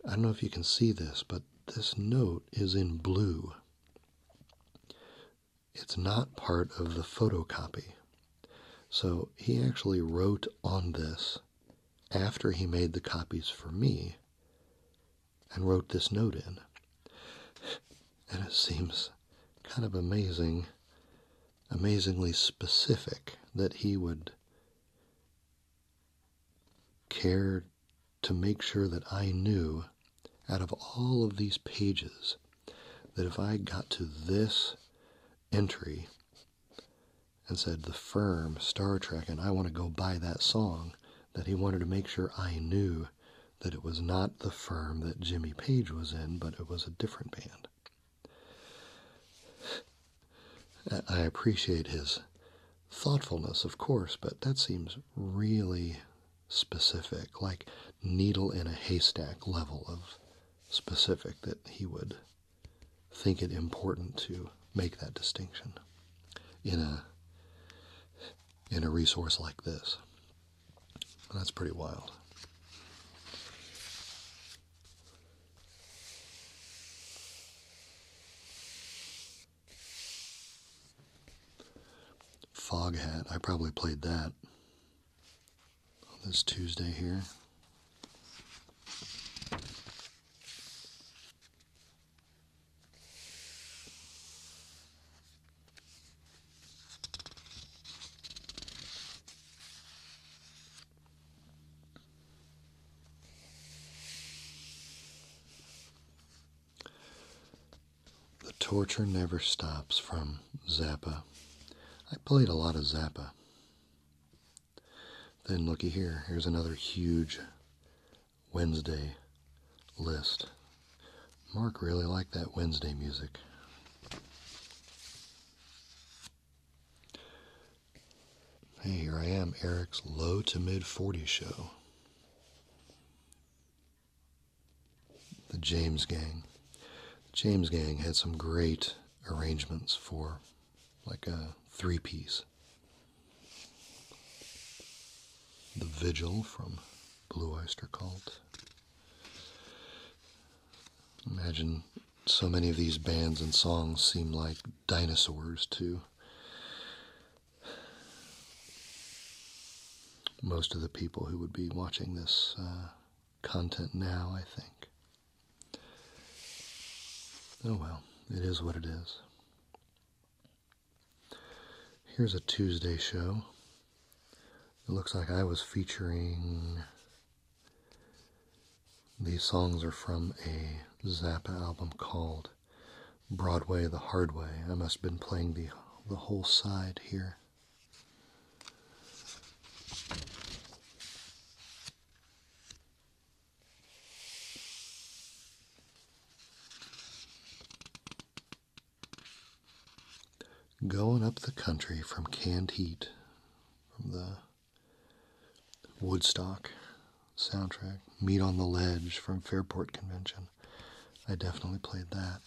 Speaker 1: I don't know if you can see this, but this note is in blue. It's not part of the photocopy. So he actually wrote on this after he made the copies for me and wrote this note in. And it seems kind of amazing, amazingly specific that he would care to make sure that I knew out of all of these pages that if I got to this entry and said, The Firm, Star Trek, and I want to go buy that song, that he wanted to make sure I knew that it was not the firm that Jimmy Page was in, but it was a different band. I appreciate his thoughtfulness, of course, but that seems really specific, like needle in a haystack level of specific that he would think it important to make that distinction in a in a resource like this. that's pretty wild. Fog Hat, I probably played that this Tuesday here. The Torture Never Stops from Zappa. I played a lot of Zappa. Then looky here, here's another huge Wednesday list. Mark really liked that Wednesday music. Hey, here I am, Eric's low to mid 40s show. The James Gang. James Gang had some great arrangements for like a three piece. The Vigil from Blue Oyster Cult. Imagine so many of these bands and songs seem like dinosaurs too. most of the people who would be watching this uh, content now, I think. Oh well, it is what it is. Here's a Tuesday show. It looks like I was featuring. These songs are from a Zappa album called Broadway the Hard Way. I must have been playing the, the whole side here. Going up the country from Canned Heat, from the Woodstock soundtrack, Meet on the Ledge from Fairport Convention. I definitely played that.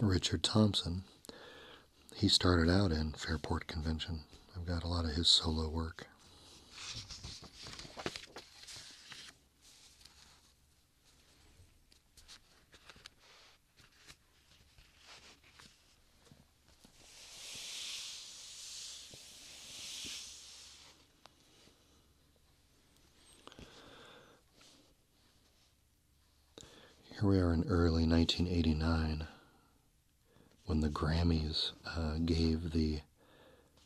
Speaker 1: Richard Thompson, he started out in Fairport Convention. I've got a lot of his solo work. Here we are in early 1989 when the Grammys uh, gave the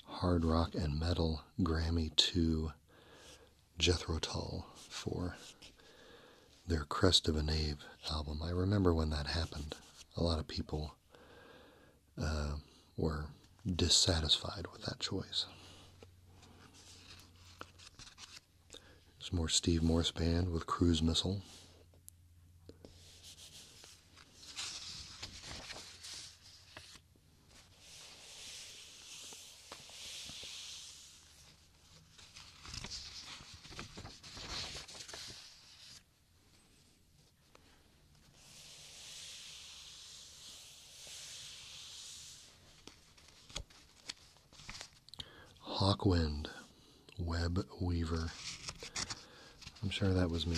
Speaker 1: hard rock and metal Grammy to Jethro Tull for their Crest of a Knave album. I remember when that happened, a lot of people uh, were dissatisfied with that choice. It's more Steve Morse Band with Cruise Missile. Hawkwind, Web Weaver. I'm sure that was me.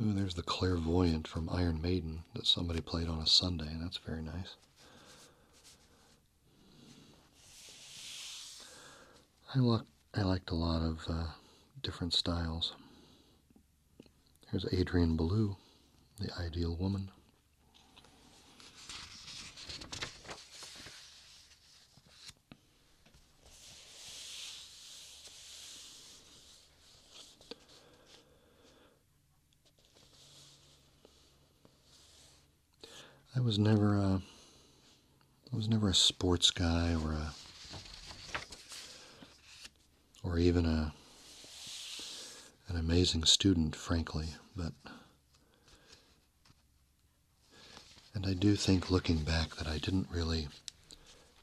Speaker 1: Ooh, there's the clairvoyant from Iron Maiden that somebody played on a Sunday, and that's very nice. I, look, I liked a lot of uh, different styles. Here's Adrian Ballou, the ideal woman. I was never a, I was never a sports guy or a, or even a, an amazing student, frankly. But, and I do think, looking back, that I didn't really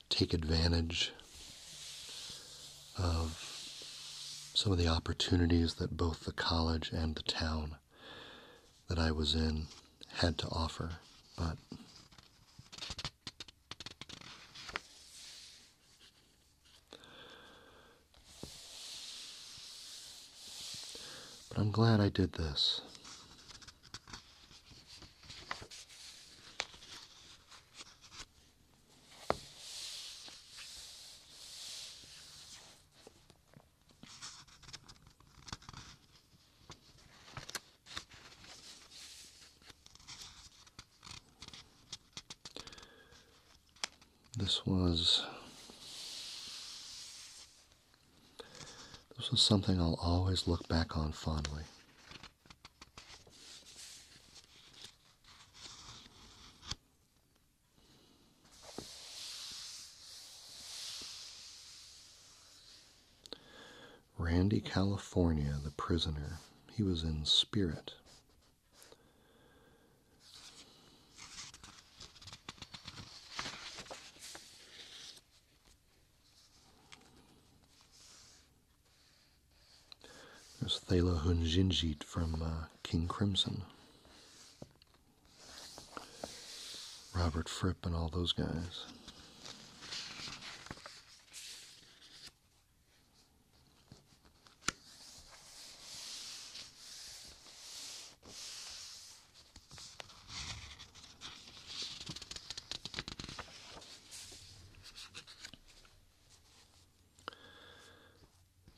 Speaker 1: take advantage of some of the opportunities that both the college and the town that I was in had to offer. But But I'm glad I did this. This was this was something I'll always look back on fondly. Randy, California, the prisoner. He was in spirit. There's Thala Hunjinjit from uh, King Crimson. Robert Fripp and all those guys.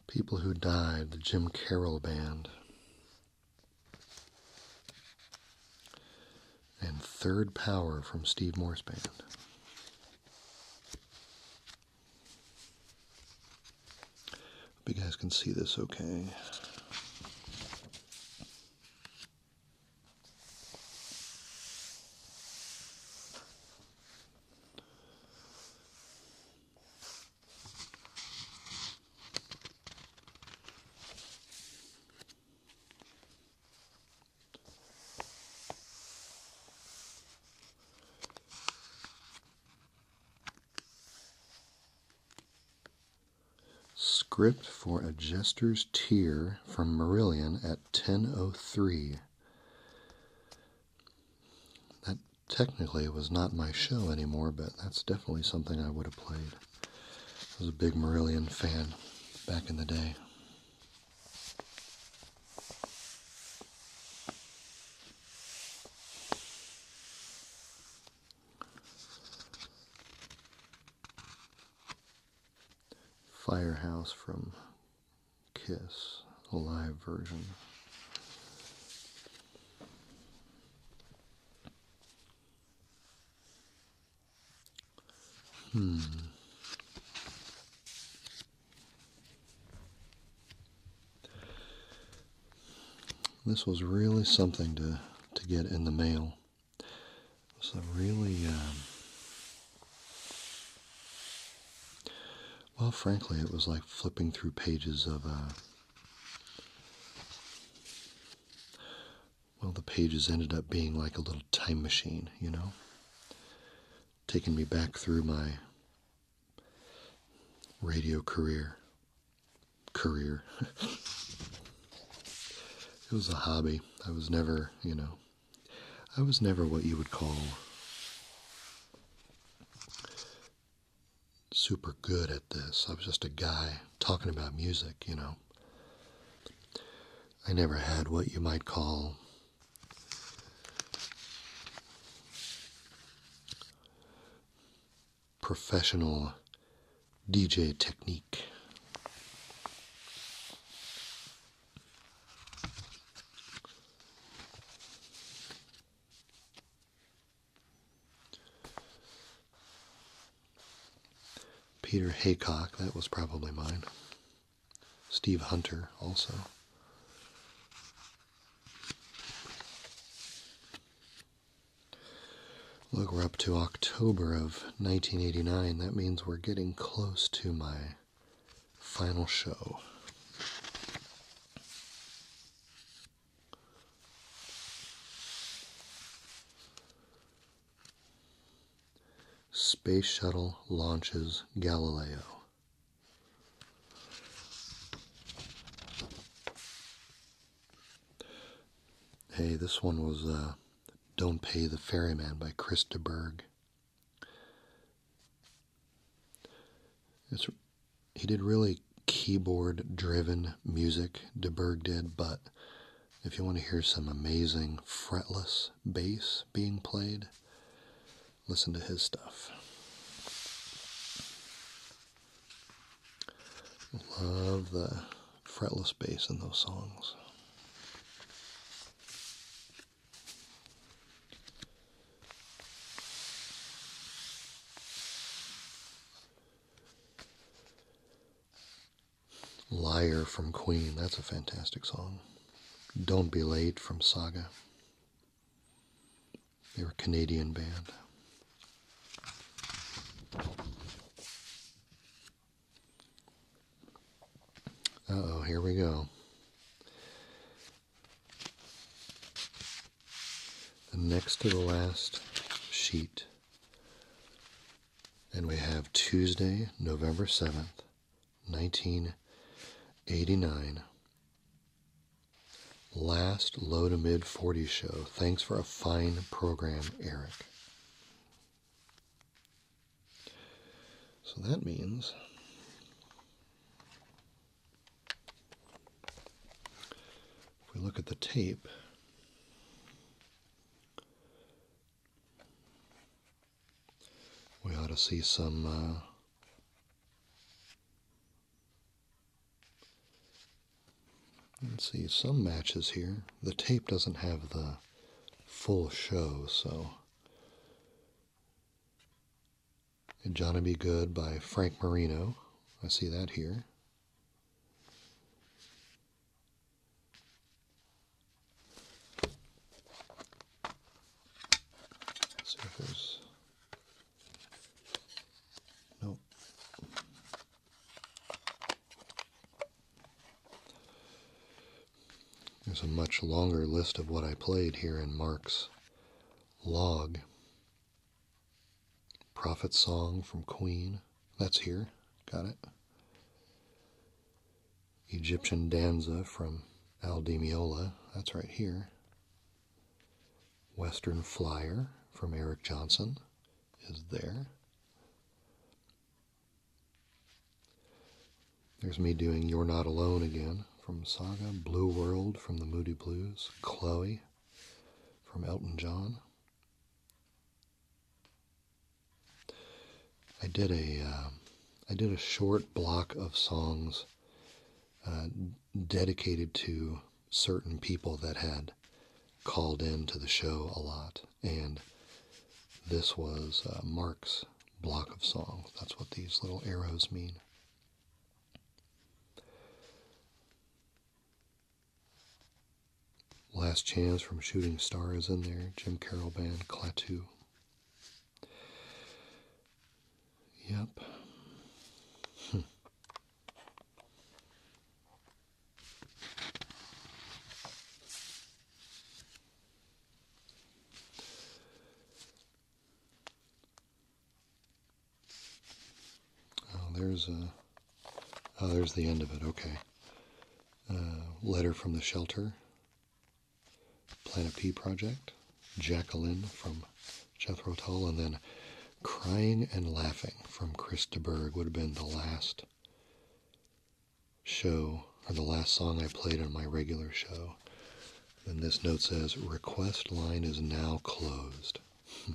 Speaker 1: People Who Died, the Jim Carroll Band. And Third Power from Steve Morse Band. Hope you guys can see this okay. Script for a jester's tear from Marillion at 10.03. That technically was not my show anymore, but that's definitely something I would have played. I was a big Marillion fan back in the day. Firehouse from Kiss, the live version. Hmm. This was really something to, to get in the mail. It really um, well, frankly, it was like flipping through pages of, uh, well, the pages ended up being like a little time machine, you know? Taking me back through my radio career. Career. [LAUGHS] it was a hobby. I was never, you know, I was never what you would call super good at this. I was just a guy talking about music, you know. I never had what you might call professional DJ technique. Peter Haycock, that was probably mine. Steve Hunter, also. Look, we're up to October of 1989. That means we're getting close to my final show. Space Shuttle launches Galileo. Hey, this one was uh, Don't Pay the Ferryman by Krista Berg he did really keyboard driven music, De Burg did, but if you want to hear some amazing fretless bass being played, listen to his stuff. Love the fretless bass in those songs. Liar from Queen, that's a fantastic song. Don't Be Late from Saga. They were a Canadian band. oh, here we go. The next to the last sheet. And we have Tuesday, November 7th, 1989. Last low to mid 40 show. Thanks for a fine program, Eric. So that means if we look at the tape, we ought to see some uh, Let's see, some matches here. The tape doesn't have the full show, so and Johnny Be Good by Frank Marino. I see that here. let there's There's a much longer list of what I played here in Mark's Log. Prophet Song from Queen. That's here. Got it. Egyptian Danza from Aldemiola. That's right here. Western Flyer from Eric Johnson is there. There's me doing You're Not Alone again from Saga, Blue World from the Moody Blues, Chloe from Elton John. I did a uh, did a short block of songs uh, dedicated to certain people that had called in to the show a lot, and this was uh, Mark's block of songs. That's what these little arrows mean. Last Chance from Shooting Star is in there. Jim Carroll Band, Klaatu. Yep. Oh, there's a. Oh, there's the end of it. Okay. Uh, letter from the shelter. Planet P project. Jacqueline from Jethro Tull, and then Crying and Laughing from Chris de Burgh would have been the last show or the last song I played on my regular show. And this note says request line is now closed. [LAUGHS]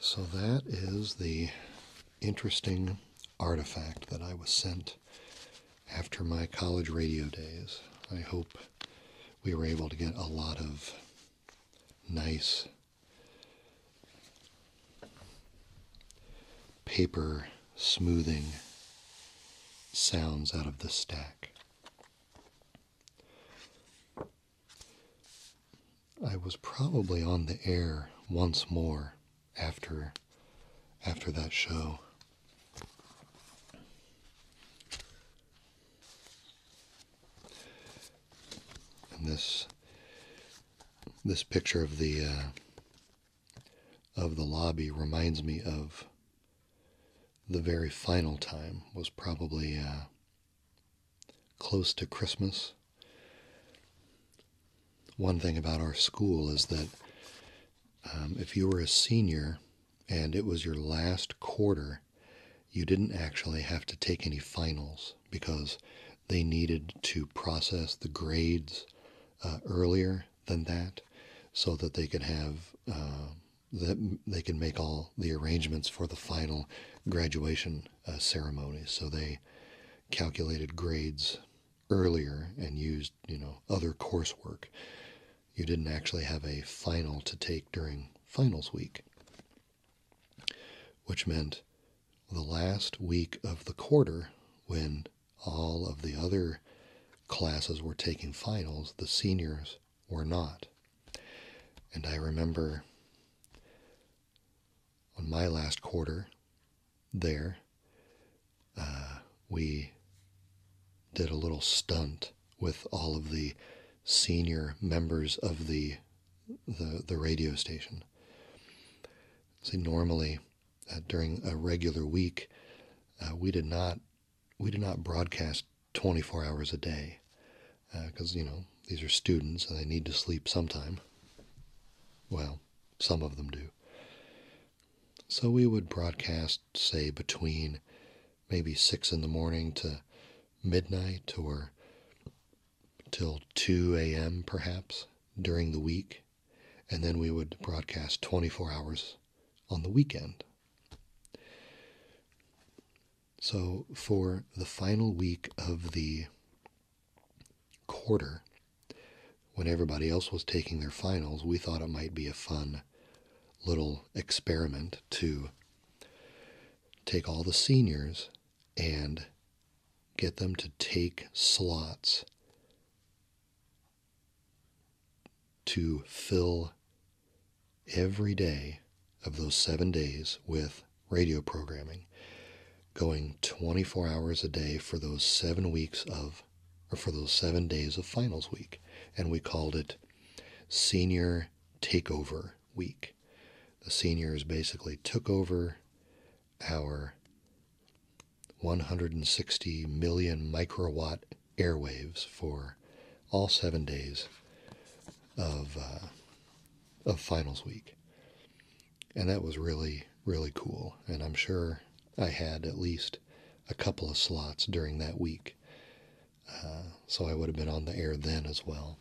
Speaker 1: so that is the interesting artifact that I was sent after my college radio days. I hope we were able to get a lot of nice paper smoothing sounds out of the stack. I was probably on the air once more after after that show. And this this picture of the uh, of the lobby reminds me of the very final time was probably uh, close to Christmas. One thing about our school is that um, if you were a senior and it was your last quarter, you didn't actually have to take any finals because they needed to process the grades uh, earlier than that so that they could have uh, that they could make all the arrangements for the final graduation uh, ceremony so they calculated grades earlier and used you know other coursework you didn't actually have a final to take during finals week which meant the last week of the quarter when all of the other classes were taking finals, the seniors were not. And I remember on my last quarter there, uh, we did a little stunt with all of the senior members of the the the radio station. See, normally uh, during a regular week, uh, we did not we did not broadcast 24 hours a day because uh, you know these are students and they need to sleep sometime. Well, some of them do. So we would broadcast, say, between maybe six in the morning to midnight or till 2 a.m., perhaps, during the week. And then we would broadcast 24 hours on the weekend. So, for the final week of the quarter, when everybody else was taking their finals, we thought it might be a fun little experiment to take all the seniors and get them to take slots to fill every day of those seven days with radio programming, going 24 hours a day for those seven weeks of, or for those seven days of finals week. And we called it Senior Takeover Week. The seniors basically took over our 160 million microwatt airwaves for all seven days uh, of finals week, and that was really really cool. And I'm sure I had at least a couple of slots during that week, uh, so I would have been on the air then as well.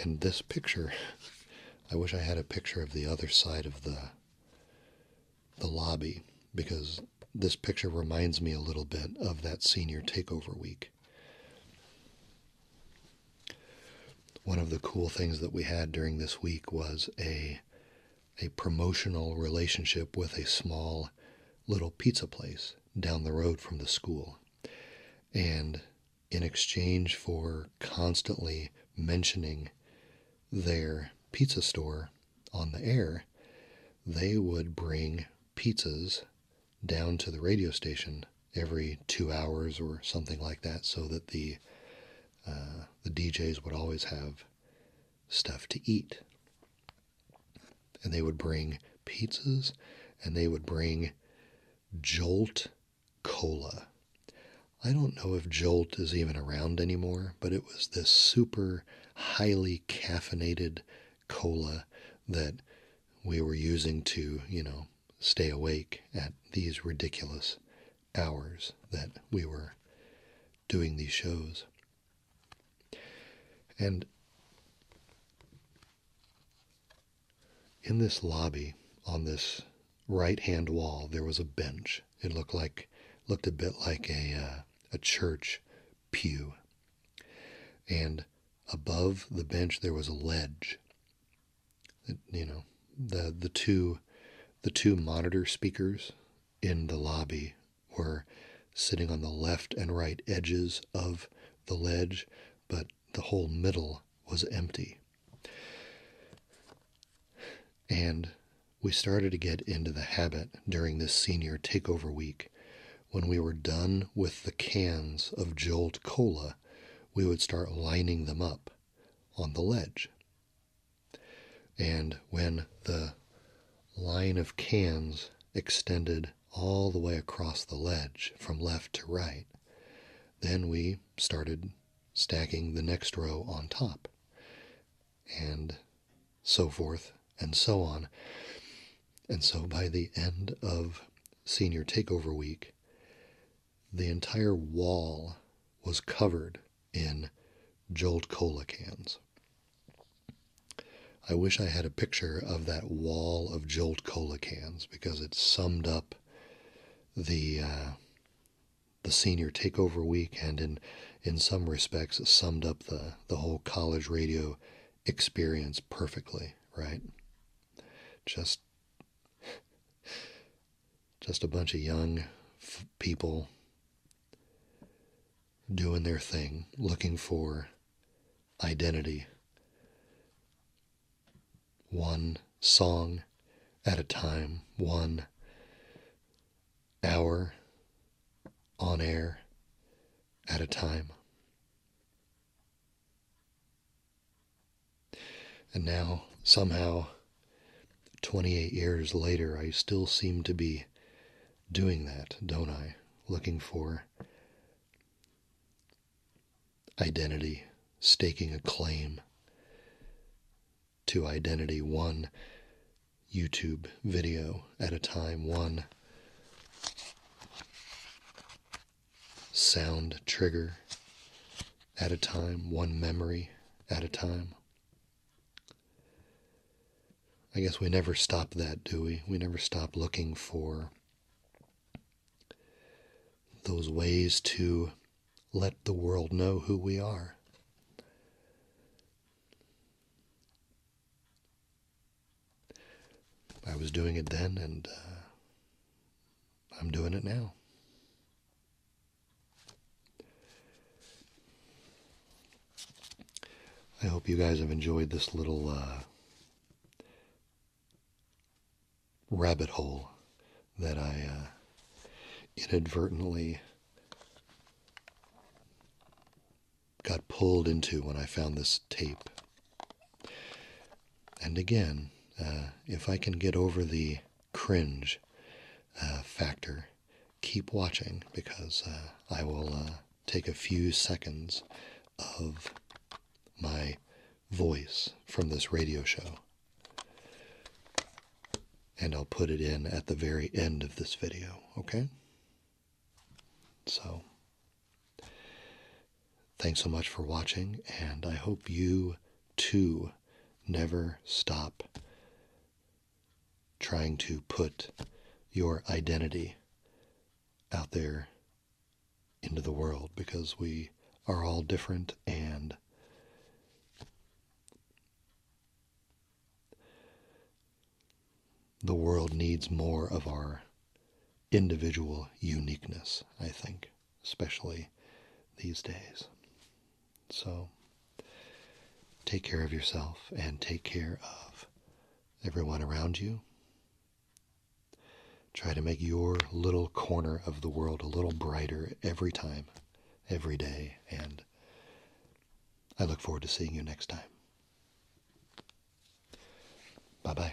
Speaker 1: And this picture, I wish I had a picture of the other side of the the lobby because this picture reminds me a little bit of that senior takeover week. One of the cool things that we had during this week was a a promotional relationship with a small little pizza place down the road from the school. And in exchange for constantly mentioning their pizza store on the air, they would bring pizzas down to the radio station every two hours or something like that, so that the uh, the DJs would always have stuff to eat, and they would bring pizzas, and they would bring Jolt cola. I don't know if Jolt is even around anymore, but it was this super highly caffeinated cola that we were using to, you know, stay awake at these ridiculous hours that we were doing these shows. And in this lobby, on this right-hand wall, there was a bench. It looked like looked a bit like a uh, a church pew. And above the bench there was a ledge. It, you know, the the two the two monitor speakers in the lobby were sitting on the left and right edges of the ledge, but the whole middle was empty. And we started to get into the habit during this senior takeover week. When we were done with the cans of Jolt Cola, we would start lining them up on the ledge. And when the line of cans extended all the way across the ledge from left to right, then we started stacking the next row on top, and so forth and so on. And so by the end of senior takeover week, the entire wall was covered in Jolt Cola cans. I wish I had a picture of that wall of Jolt Cola cans because it summed up the uh, the senior takeover week, and in in some respects summed up the the whole college radio experience perfectly. Right, just just a bunch of young people doing their thing, looking for identity one song at a time, one hour on air at a time. And now, somehow, 28 years later, I still seem to be doing that, don't I? Looking for identity, staking a claim to identity one YouTube video at a time, one sound trigger at a time, one memory at a time. I guess we never stop that, do we? We never stop looking for those ways to let the world know who we are. I was doing it then, and uh, I'm doing it now. I hope you guys have enjoyed this little uh, rabbit hole that I uh, inadvertently got pulled into when I found this tape. And again, uh, if I can get over the cringe uh, factor, keep watching because I will take a few seconds of my voice from this radio show. And I'll put it in at the very end of this video, okay? So, thanks so much for watching, and I hope you too never stop trying to put your identity out there into the world because we are all different and the world needs more of our individual uniqueness, I think, especially these days. So take care of yourself and take care of everyone around you. Try to make your little corner of the world a little brighter every time, every day, and I look forward to seeing you next time. Bye bye.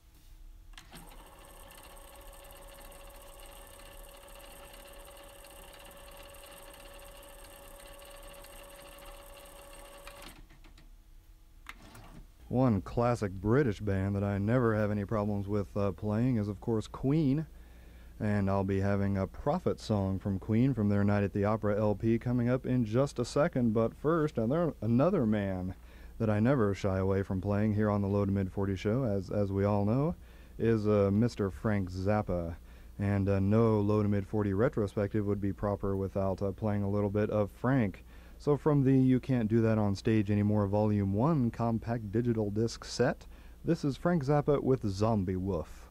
Speaker 1: One classic British band that I never have any problems with uh, playing is, of course, Queen. And I'll be having a Prophet song from Queen from their Night at the Opera LP coming up in just a second. But first, another man that I never shy away from playing here on the low to mid 40 show, as, as we all know, is uh, Mr. Frank Zappa. And uh, no low to mid 40 retrospective would be proper without uh, playing a little bit of Frank. So, from the You Can't Do That on Stage Anymore Volume 1 compact digital disc set, this is Frank Zappa with Zombie Wolf.